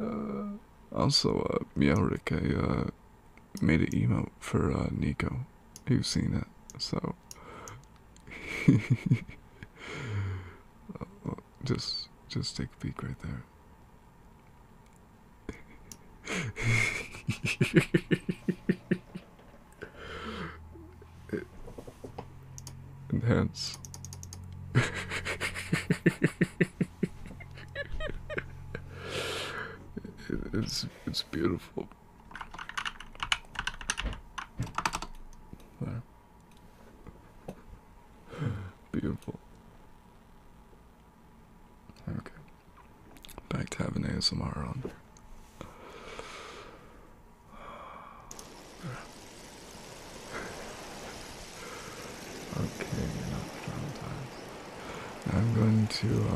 Uh, also, uh, Miaurike, uh, made an emote for, uh, Nico. You've seen it, so. [LAUGHS] just, just take a peek right there. [LAUGHS] Enhance. it's it's beautiful. Beautiful. Okay. Back to having ASMR on. Okay, enough downtime. I'm going to,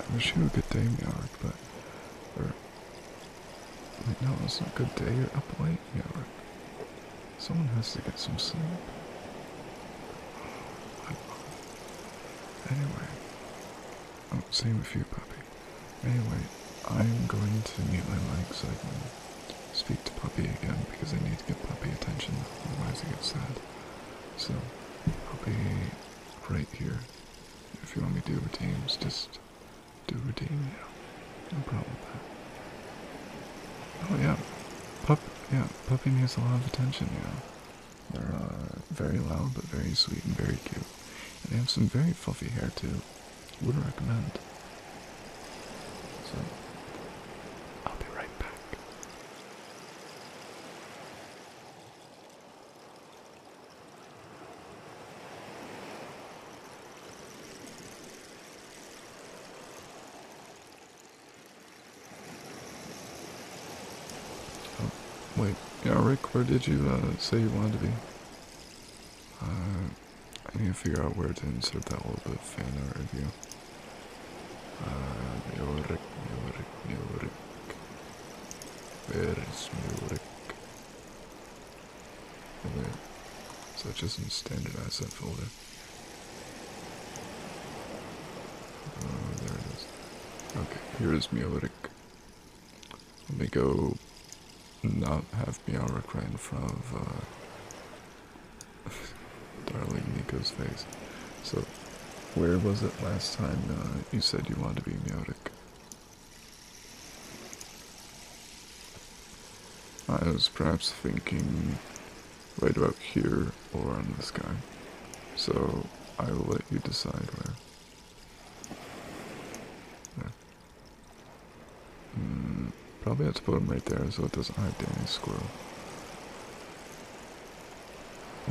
I wish you a good day, Meowrick, but, or, wait, no, it's not good day, you're up late, Meowrick. Someone has to get some sleep. Anyway, I oh, same with you, puppy. Anyway, I'm going to mute my mic so I can speak to Puppy again because I need to get Puppy attention, otherwise I get sad. So, I'll be right here. If you want me to do routines, just do routine, yeah. No problem Oh yeah, Pup, yeah, Puppy needs a lot of attention, yeah. They're uh, very loud, but very sweet and very cute. And they have some very fluffy hair too. Would recommend. So, I'll be right back. Oh, wait, yeah, Rick, where did you uh, say you wanted to be? Uh, I need to figure out where to insert that little bit of fan art review. Uh, Murik, Murik, Murik. Where is Murik? Okay. So it just doesn't standardize that folder. Oh, there it is. Okay, here is Murik. Let me go not have Bianca crying in front of uh, [LAUGHS] darling Nico's face. So, where was it last time uh, you said you wanted to be Meotic? I was perhaps thinking right about here or on the sky. So I will let you decide where. Hmm, probably have to put him right there so it doesn't hurt any Squirrel.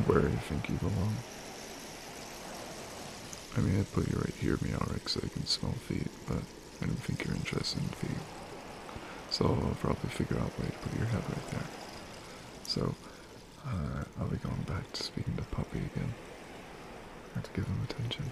Where do you think you belong? I mean, I'd put you right here, Meowrick, so I can smell feet, but I don't think you're interested in feet. So I'll probably figure out a way to put your head right there. So, uh, I'll be going back to speaking to Puppy again. have to give him attention.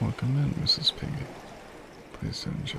Welcome in, Mrs. Piggy. Please enjoy.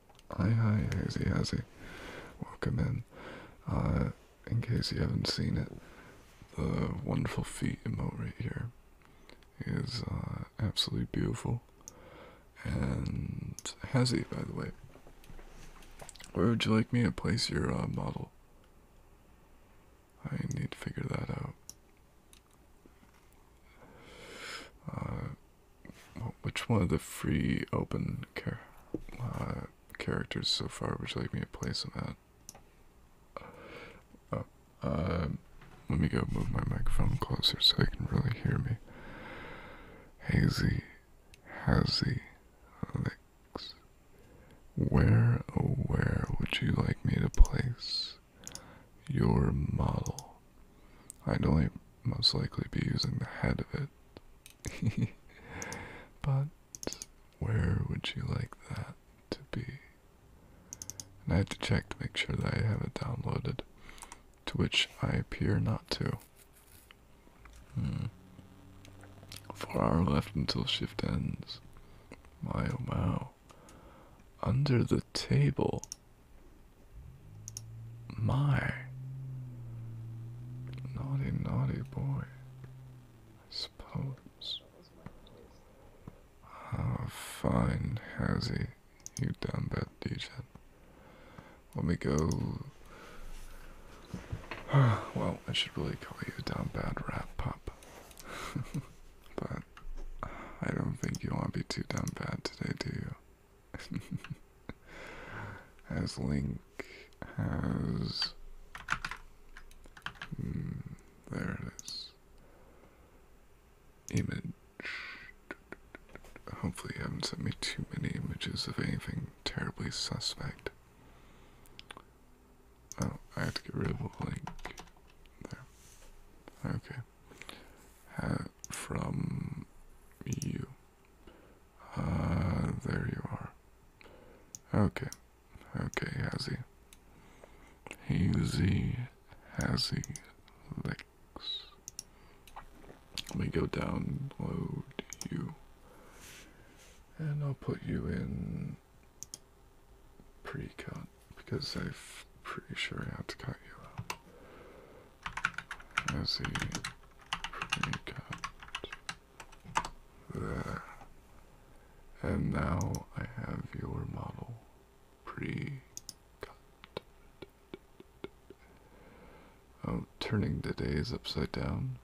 Hi, hi, Hazy, Hazy. Welcome in. Uh, in case you haven't seen it, the wonderful feet emote right here is uh, absolutely beautiful. And Hazy, by the way, where would you like me to place your uh, model? I need to figure that out. Which one of the free open char uh, characters so far would you like me to place them at? Oh, um, let me go move my microphone closer so they can really hear me. Hazy, hazy, licks. Where, oh, where would you like me to place your model? I'd only most likely be using the head of it. [LAUGHS] but where would you like that to be? And I have to check to make sure that I have it downloaded, to which I appear not to. Hmm. Four hour left until shift ends. My oh wow. Under the table. My naughty, naughty boy, I suppose. How fine has he, you damn bad DJ? Let me go. [SIGHS] well, I should really call you dumb, bad rap pup. [LAUGHS] but I don't think you want to be too dumb, bad today, do you? [LAUGHS] as Link has. Mm, there it is. Image. Hopefully, you haven't sent me too many images of anything terribly suspect. Oh, I have to get rid of the link. There. Okay from you. Ah, there you are. Okay, okay, Hazzy. Hazy, Hazzy, Lex. Let me go download you. And I'll put you in pre-cut because I'm pretty sure I have to cut you out as he pre-cut there. And now I have your model pre-cut. Oh, turning the days upside down?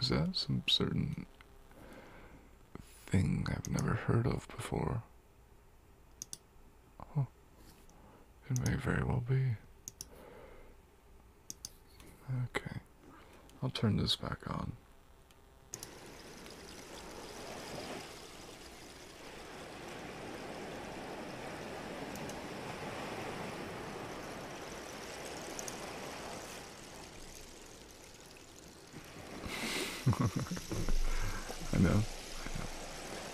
Is that some certain thing I've never heard of before? It may very well be. Okay. I'll turn this back on. [LAUGHS] I know.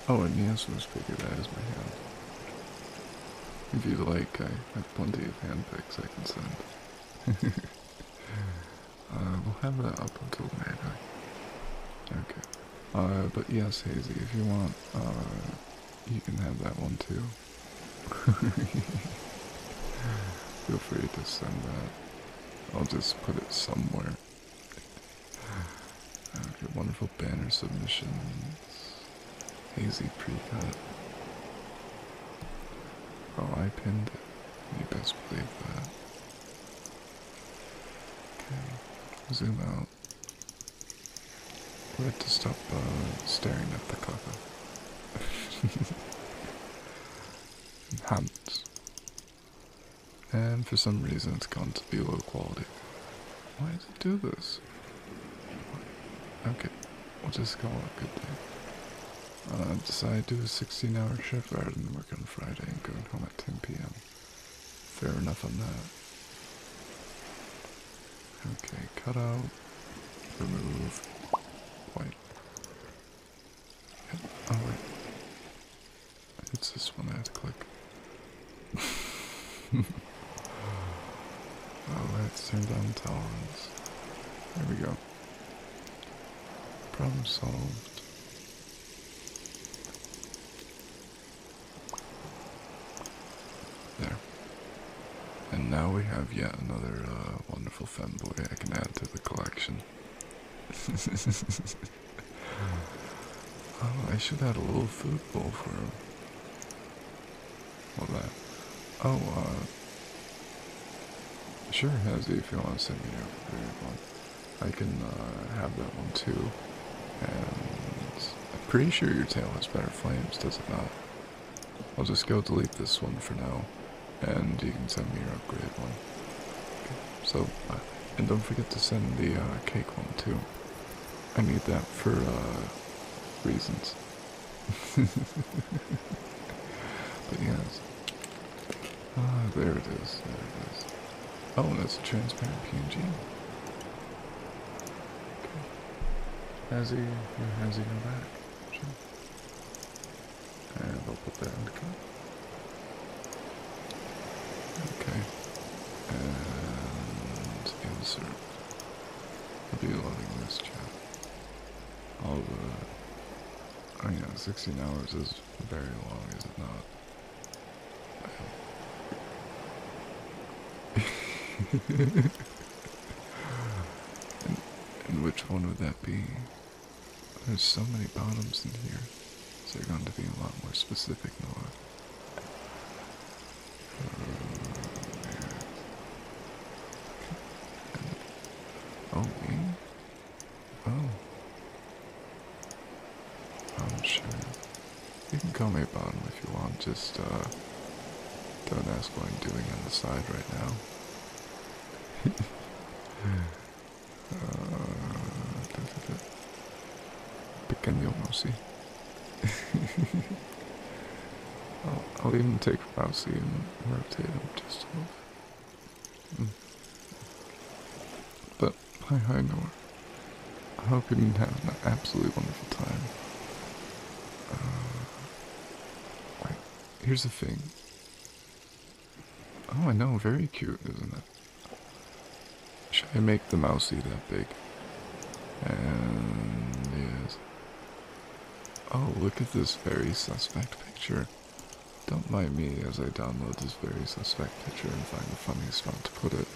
Oh, and yes, was figure that is my hand. If you'd like, I have plenty of hand picks I can send. [LAUGHS] Uh, we'll have that up until midnight. Okay. Uh, but yes, Hazy, if you want, uh, you can have that one too. [LAUGHS] Feel free to send that. I'll just put it somewhere your wonderful banner submissions. Hazy pre-cut. Oh, I pinned it. You best believe that. Okay, zoom out. We have to stop uh, staring at the cover. Enhance. [LAUGHS] And for some reason it's gone to be low quality. Why does it do this? Okay, we'll just call a good day. Uh, decided to do a 16 hour shift rather than work on Friday and going home at 10 p.m. Fair enough on that. Okay, cut out, remove, white. Oh wait, it's this one I have to click. [LAUGHS] oh, let's turn down the tolerance. There we go. Problem solved. There. And now we have yet another uh, wonderful femboy I can add to the collection. [LAUGHS] Oh, I should have had a little food bowl for him. What that? Oh, uh, sure has if you want to send me a food one. I can uh, have that one too. And I'm pretty sure your tail has better flames, does it not? I'll just go delete this one for now, and you can send me your upgrade one. Okay, so, uh, and don't forget to send the uh, cake one too. I need that for uh, reasons. [LAUGHS] but yes. Ah, there it is. There it is. Oh, and that's a transparent PNG. Okay. Has he, or he come back? And I'll put that in the cup. Okay. And insert. I'll be loading this chat. All the. I oh know, 16 hours is very long, is it not? [LAUGHS] and, which one would that be? There's so many bottoms in here, so they are going to be a lot more specific than Oh, Oh. I'm sure. You can call me about him if you want, just, uh, don't ask what I'm doing on the side right now. [LAUGHS] uh, Pequeño Mousy. I'll, even take Rousey and rotate them just a little hmm. But, hi, hi, Noah. I hope you didn't have an absolutely wonderful time. Uh, here's the thing. Oh, I know, very cute, isn't it? Should I make the mousey that big? And yes. Oh, look at this very suspect picture. Don't mind me as I download this very suspect picture and find the funniest spot to put it.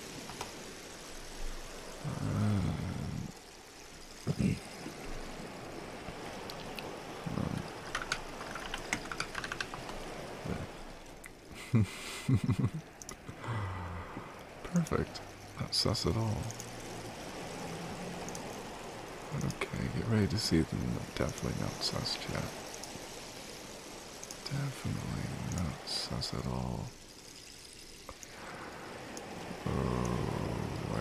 Um, [CLEARS THROAT] [LAUGHS] Perfect. Not us at all. Okay, get ready to see them. Definitely not sus yet. Definitely not sus at all. Oh, why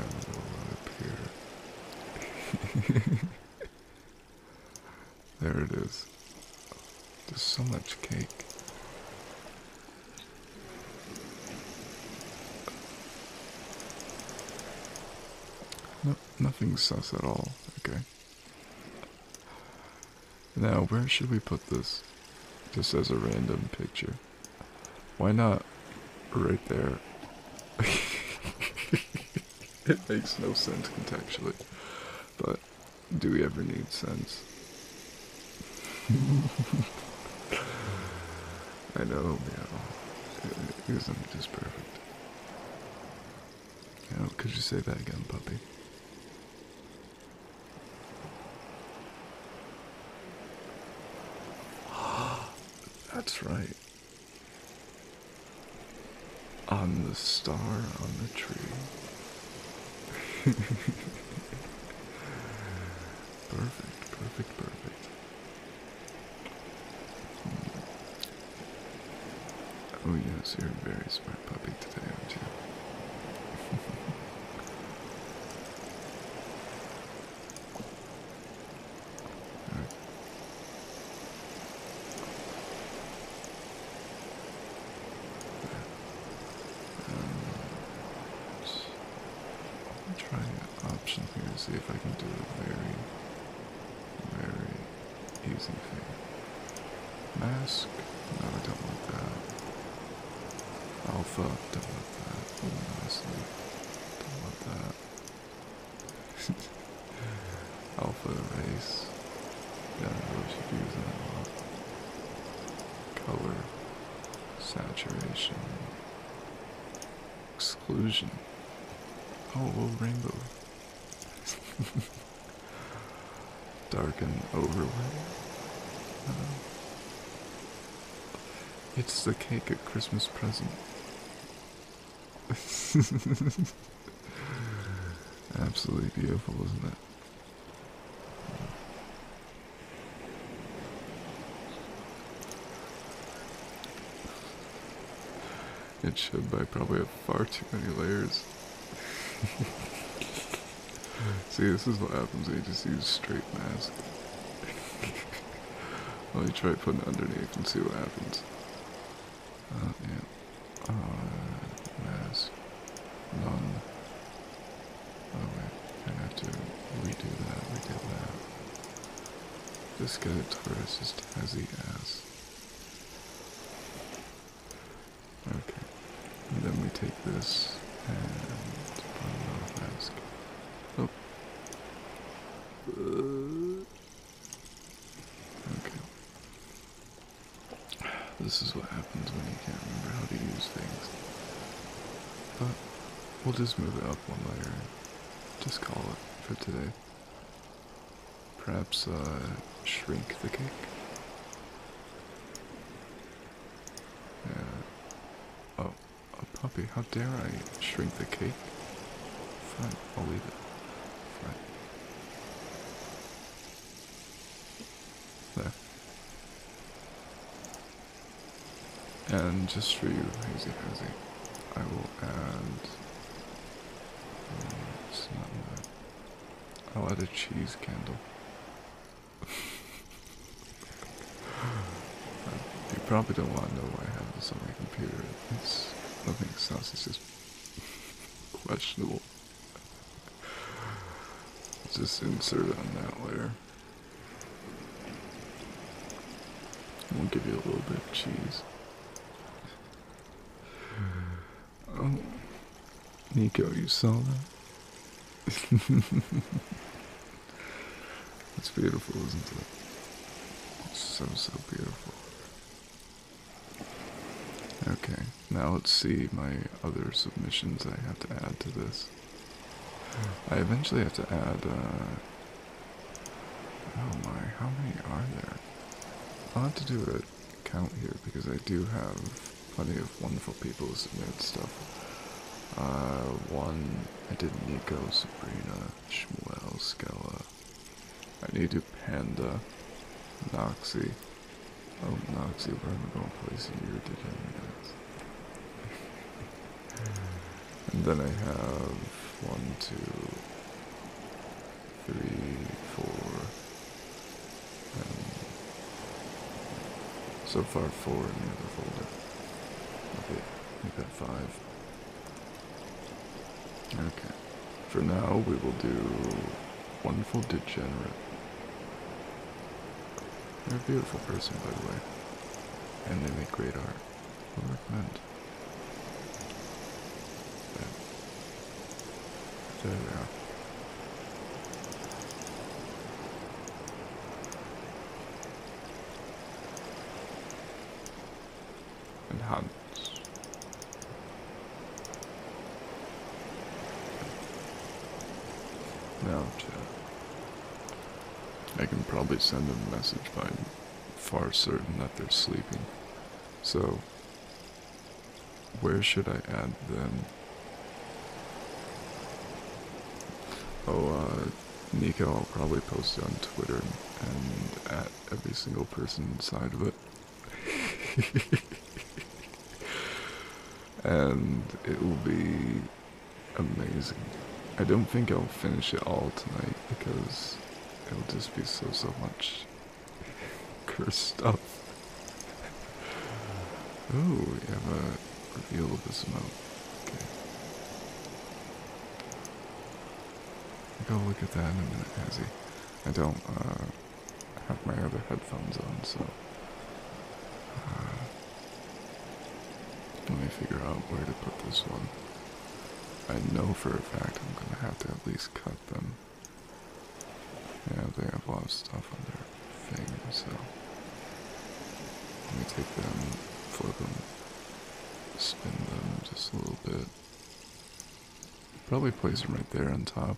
it appear? [LAUGHS] There it is. There's so much cake. No, nothing sus at all, okay? Now, where should we put this? Just as a random picture. Why not right there? [LAUGHS] it makes no sense contextually. But do we ever need sense? [LAUGHS] I know, meow. 'cause I'm just perfect. Meow, could you say that again, puppy? [GASPS] That's right. On the star on the tree perfect, perfect, perfect. Oh yes, you're a very smart puppy today, aren't you? [LAUGHS] right. And try an option here to see if I can do a very, very easy thing. Mask? No, I don't want that. Alpha? Don't want that. Ooh, honestly, don't want that. [LAUGHS] Alpha race. Yeah, I really should that Color, saturation, exclusion. Oh, oh rainbow. [LAUGHS] Darken overlay. Uh, it's the cake at Christmas present. [LAUGHS] Absolutely beautiful, isn't it? It should, but probably have far too many layers. [LAUGHS] See, this is what happens when you use straight mask. [LAUGHS] Let me try putting underneath and see what happens. Uh, yeah. Uh, mask. None. Oh wait, I have to redo that, we did that. This guy Taurus is Tazzy ass. Okay. And then we take this and put it on mask. Oh. Uh. okay. This is what happens when you can't remember how to use things. But we'll just move it up one layer and just call it for today. Perhaps uh, shrink the cake? Oh, a oh, puppy. How dare I shrink the cake? Fine, I'll leave it. Fine. There. And just for you, Hazy Hazy, I will add. Mm, I'll add a cheese candle. [LAUGHS] you probably don't want to know why I have this on my computer. It's nothing sus, it's just [LAUGHS] questionable. Just insert on that layer. We'll give you a little bit of cheese. Oh, Nico, you saw that? it's [LAUGHS] beautiful, isn't it? It's so, so beautiful. Okay now let's see my other submissions I have to add to this. I eventually have to add, uh, oh my, how many are there? I'll have to do a count here because I do have plenty of wonderful people who submitted stuff. Uh, one, I did Nico, Sabrina, Shmuel, Skella. I need to Panda, Noxie. Oh, Noxie, where am going to place you? You're degenerate. and then I have one, two, three, four, so far four in the other folder. Okay, we've got five. Okay. For now, we will do Wonderful Degenerate. They're a beautiful person, by the way, and they make great art. I would recommend. But there And Hans. Now uh, I can probably send them a message, but far certain that they're sleeping. So, where should I add them? Oh, uh, Nico, I'll probably post it on Twitter and at every single person inside of it. [LAUGHS] and it will be amazing. I don't think I'll finish it all tonight because it'll just be so so much [LAUGHS] cursed stuff. Oh, we have a reveal of the smoke. Okay. go look at that in a minute, has he? I don't, uh, I have my other headphones on, so uh, let me figure out where to put this one. I know for a fact I'm gonna have to at least cut them. Yeah, they have a lot of stuff on their thing, so let me take them, flip them, spin them just a little bit. Probably place them right there on top.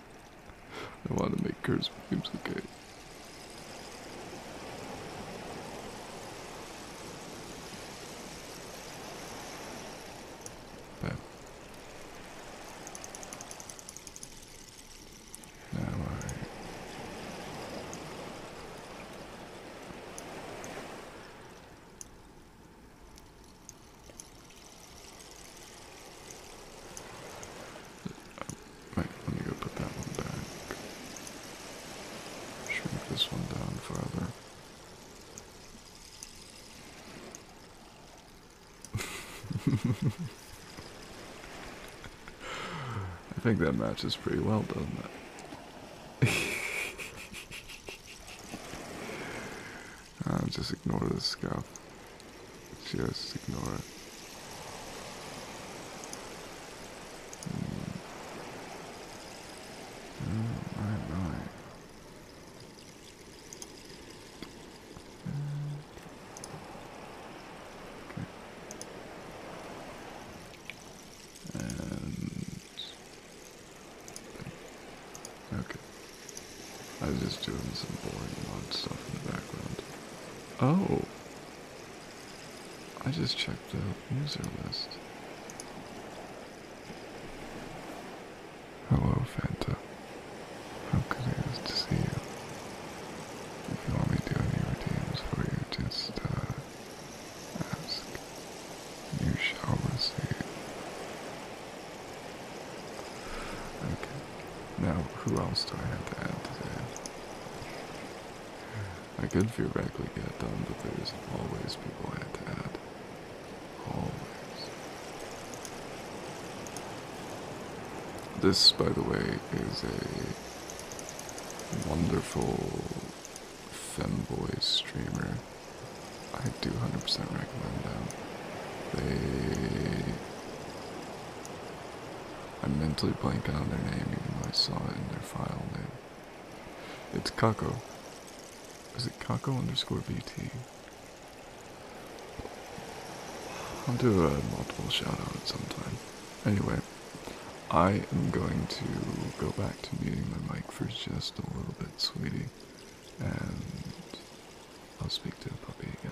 I want to make curse memes, okay. Bam. Now let me go put that one back. Shrink this one down farther. [LAUGHS] I think that matches pretty well, doesn't it? [LAUGHS] Um, just ignore the scalp. Just ignore it. Mm, okay. I was just doing some boring mod stuff in the background. Oh! I just checked the user list. Hello, Fanta. How good it is to see you? If you want me to do any routines for you, just, uh, ask. You shall receive. Okay. Now, who else do I have to add to that? I could theoretically get done, but there's always people I have to add. Always. This, by the way, is a wonderful femboy streamer. I do 100% recommend them. They I am mentally blank on their name even though I saw it in their file name. It's Kako. Is it Kako underscore VT? I'll do a multiple shout out sometime. Anyway, I am going to go back to muting my mic for just a little bit, sweetie. And I'll speak to the puppy again.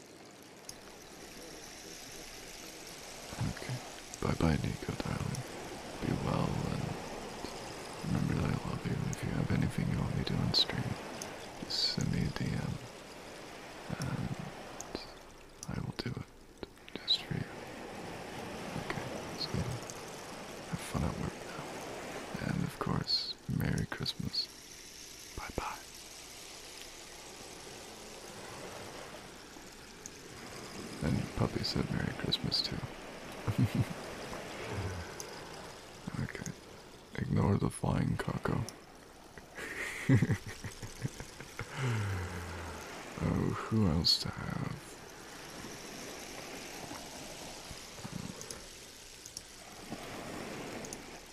Okay. Bye bye, Nico, darling. Be well and remember that I love you. If you have anything you want me to do on stream, just send me a DM and I will do it just for you. Okay, have fun at work And of course, Merry Christmas. Bye bye. And your puppy said Merry Christmas too. [LAUGHS] okay. Ignore the flying coco. [LAUGHS] oh, who else to have?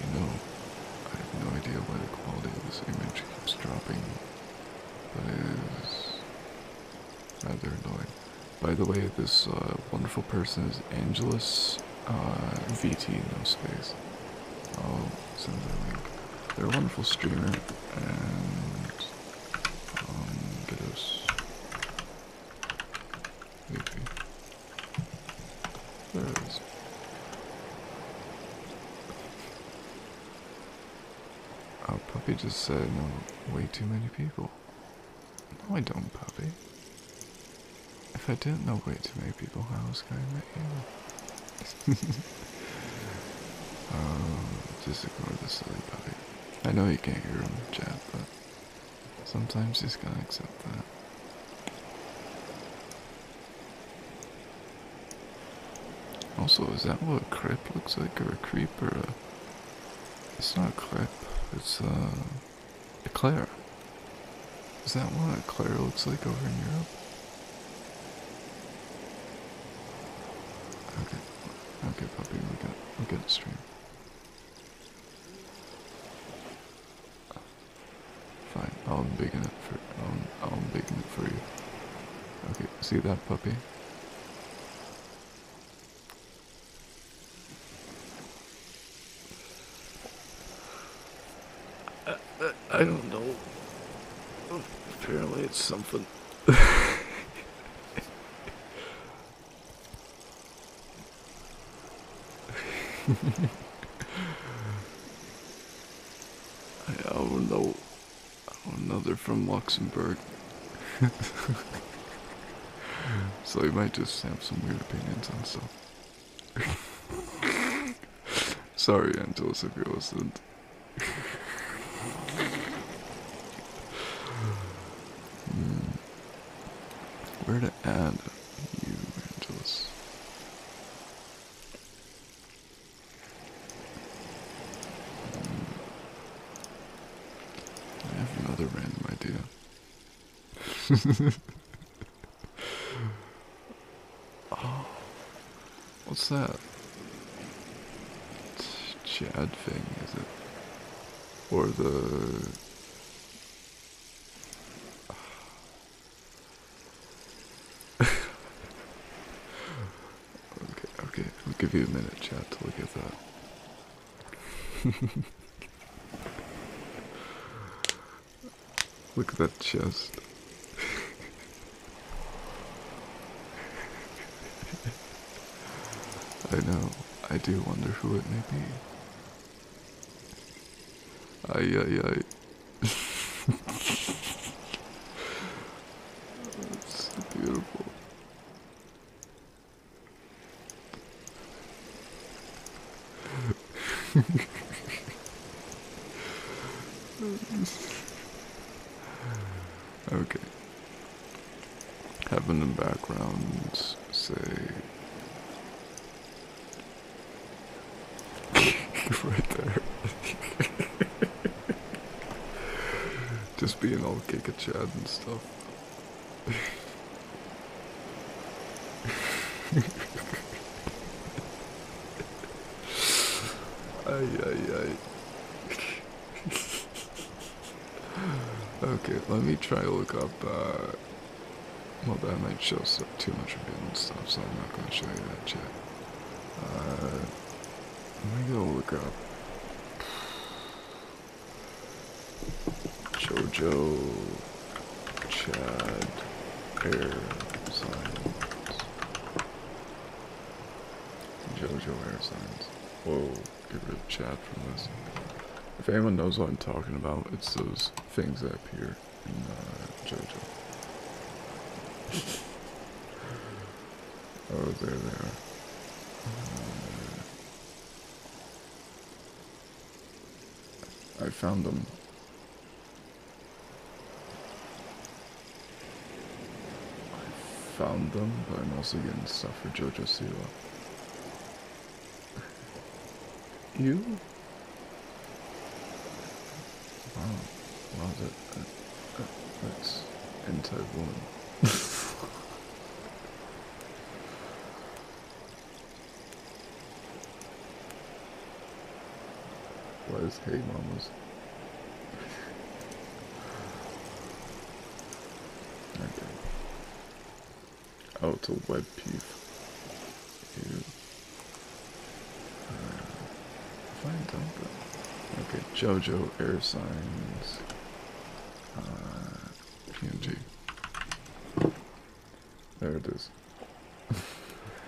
You know, I have no idea why the quality of this image keeps dropping, but rather annoying. By the way, this uh, wonderful person is Angelus uh, VT, no space. oh will They're a wonderful streamer, and um, Bidos. Oh, Puppy just said no, way too many people. No, I don't, Puppy. If I didn't know way too many people, how was going to meet you? just ignore the silly I know you can't hear him chat, but sometimes you just gotta accept that. Also, is that what a crip looks like, or a creeper. It's not a clip, it's, uh... Eclair. Is that what Eclair looks like over in Europe? Okay, okay, puppy, we got we got a stream. Fine, I'll embiggen it for I'll I'll embiggen it for you. Okay, see that puppy? Uh, I, don't know. Apparently, it's something. I don't know. I don't know. They're from Luxembourg. [LAUGHS] so they might just have some weird opinions on stuff. [LAUGHS] Sorry, Angelus, if you're listening. Hmm. Where to add you, Angelus? Hmm. I have another random idea oh, [LAUGHS] what's that? Chad thing, is it? Or the... [SIGHS] okay, okay, I'll give you a minute, Chad, to look at that. [LAUGHS] Look at that chest. I know. I do wonder who it may be. Ay ay ay. it's [LAUGHS] beautiful. [LAUGHS] okay. Having the background, say. [LAUGHS] right there. [LAUGHS] Just being all kick a Chad and stuff okay, let me try to look up, uh... Well, that might show some too much of and stuff, so I'm not going to show you that yet. Uh... Let me go look up... JoJo... Chad air signs, Jojo air signs. Whoa, get rid of Chad from this. If anyone knows what I'm talking about, it's those things up here in uh, JoJo. [LAUGHS] oh, there they are. Uh, I found them. I found them, but I'm also getting stuff for Jojo Siwa. You? Wow. Wow, that, that's anti-woman. [LAUGHS] What is hey mamas? okay. Oh, it's a web peeve. Uh, okay, JoJo air signs. Uh, there it is. [LAUGHS]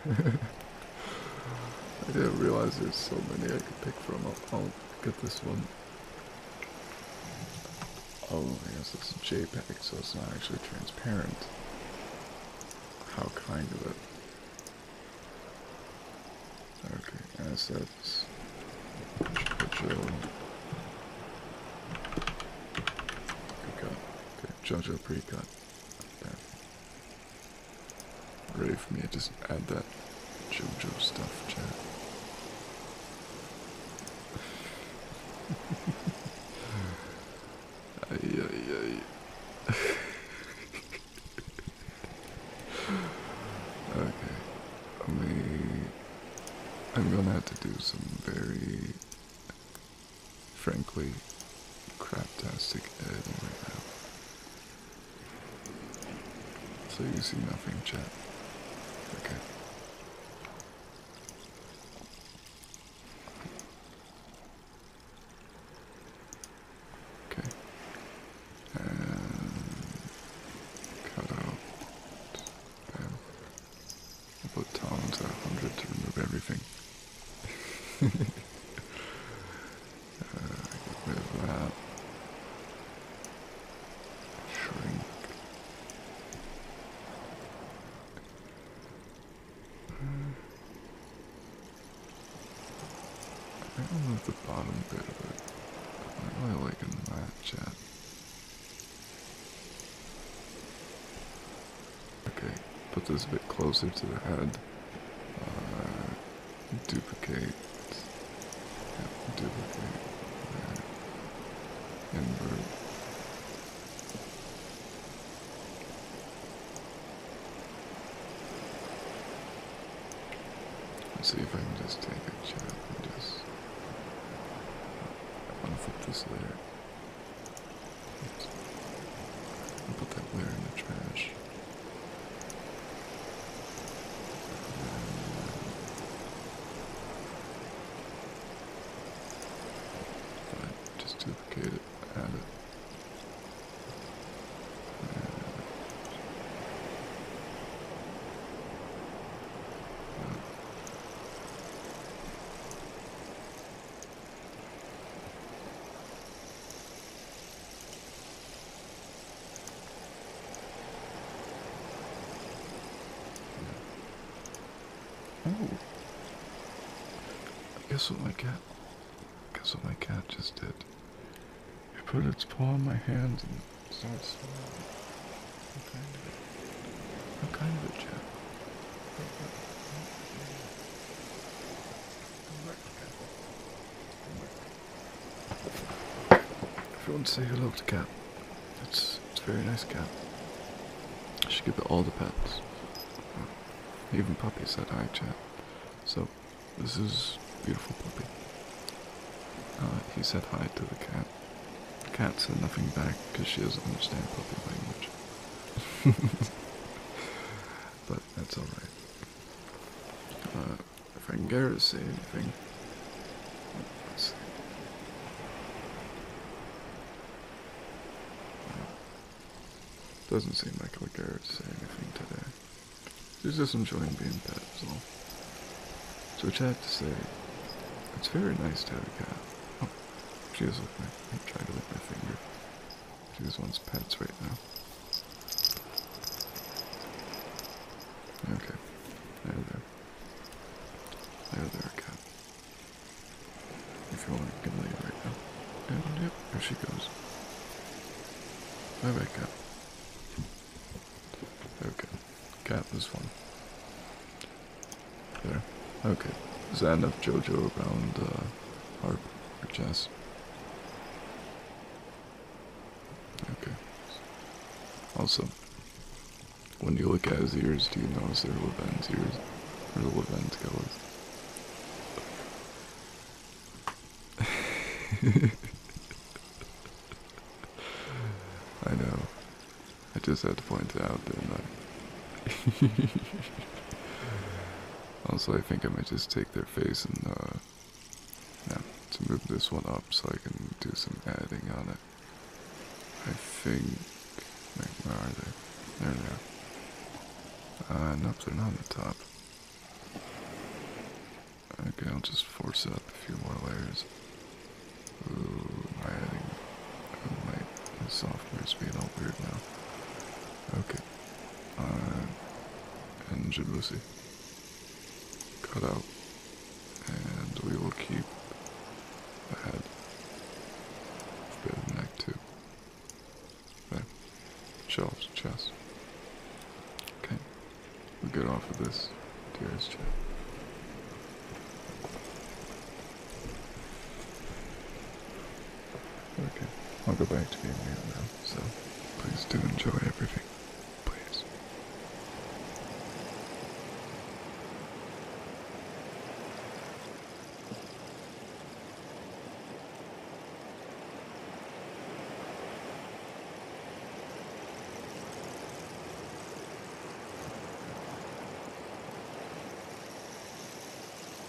I didn't realize there's so many I could pick from. I'll, get this one. Oh, I guess it's a JPEG, so it's not actually transparent. How kind of it. Okay, assets. Jojo. Precut. Okay, Jojo precut. Ready for me to just add that JoJo stuff, chat? [LAUGHS] ay, ay, ay. [LAUGHS] okay. I'm gonna have to do some very Frankly, crap craptastic editing right now. So you see nothing, chat. Okay. Okay. cut out. I'll put tolerance at 100 to remove everything uh, get rid of Shrink. I don't will move the bottom bit of it. I'm not really liking that yet. Okay, put this a bit closer to the head. Uh, duplicate. duplicate. Uh, invert. Let's see if I can just take a chap and just unflip this layer. I'll put that where in the trash. just duplicate it, add it. I guess what my cat guess what my cat just did. It put its paw on my hand and started smiling. What kind of a jet? If you want to say hello to Cat, it's, it's a very nice cat. She should it all the pets. Even puppies that I chat. So, this is beautiful puppy. Uh, he said hi to the cat. The cat said nothing back because she doesn't understand puppy language. [LAUGHS] but that's alright. Uh, if I can get her to say anything. Uh, doesn't seem like I'll get her to say anything today. She's just enjoying being pet, So which I have to say, it's very nice to have a cat. Oh, she is at me. I'm trying to my finger. This one's pets right now. Okay. There, there. There, there, cat. You feel like a good right now. yep, there she goes. Bye bye, cat. Okay. Cat was fun. There. Okay. Is that enough JoJo around, uh, which is. Okay. Also, when you look at his ears, do you notice there are Levin's ears? Or the Levin's colors? [LAUGHS] I know. I just had to point it out, didn't I? [LAUGHS] Also, I think I might just take their face and, uh, yeah, to move this one up so I can do some adding on it. I think, There they are. Uh, nope, they're not on the top. Okay, I'll just force up a few more layers. Ooh, my adding, oh, my, my software's being all weird now. Okay, uh, and Jablusi cut out, and we will keep the head bit of neck too. There, shelves, chest. Okay, we get off of this deer's chest. Okay, I'll go back to being real now, so please do enjoy everything. Please.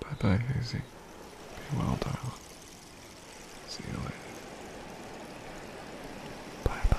Bye bye, Hazy. Be well, darling. See you later. Bye bye.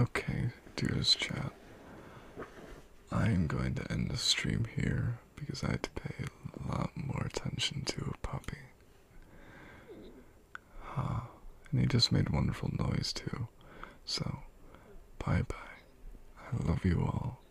Okay, dearest chat. I am going to end the stream here because I had to pay a lot more attention to a puppy. Huh. And he just made wonderful noise too. So, bye bye. I love you all.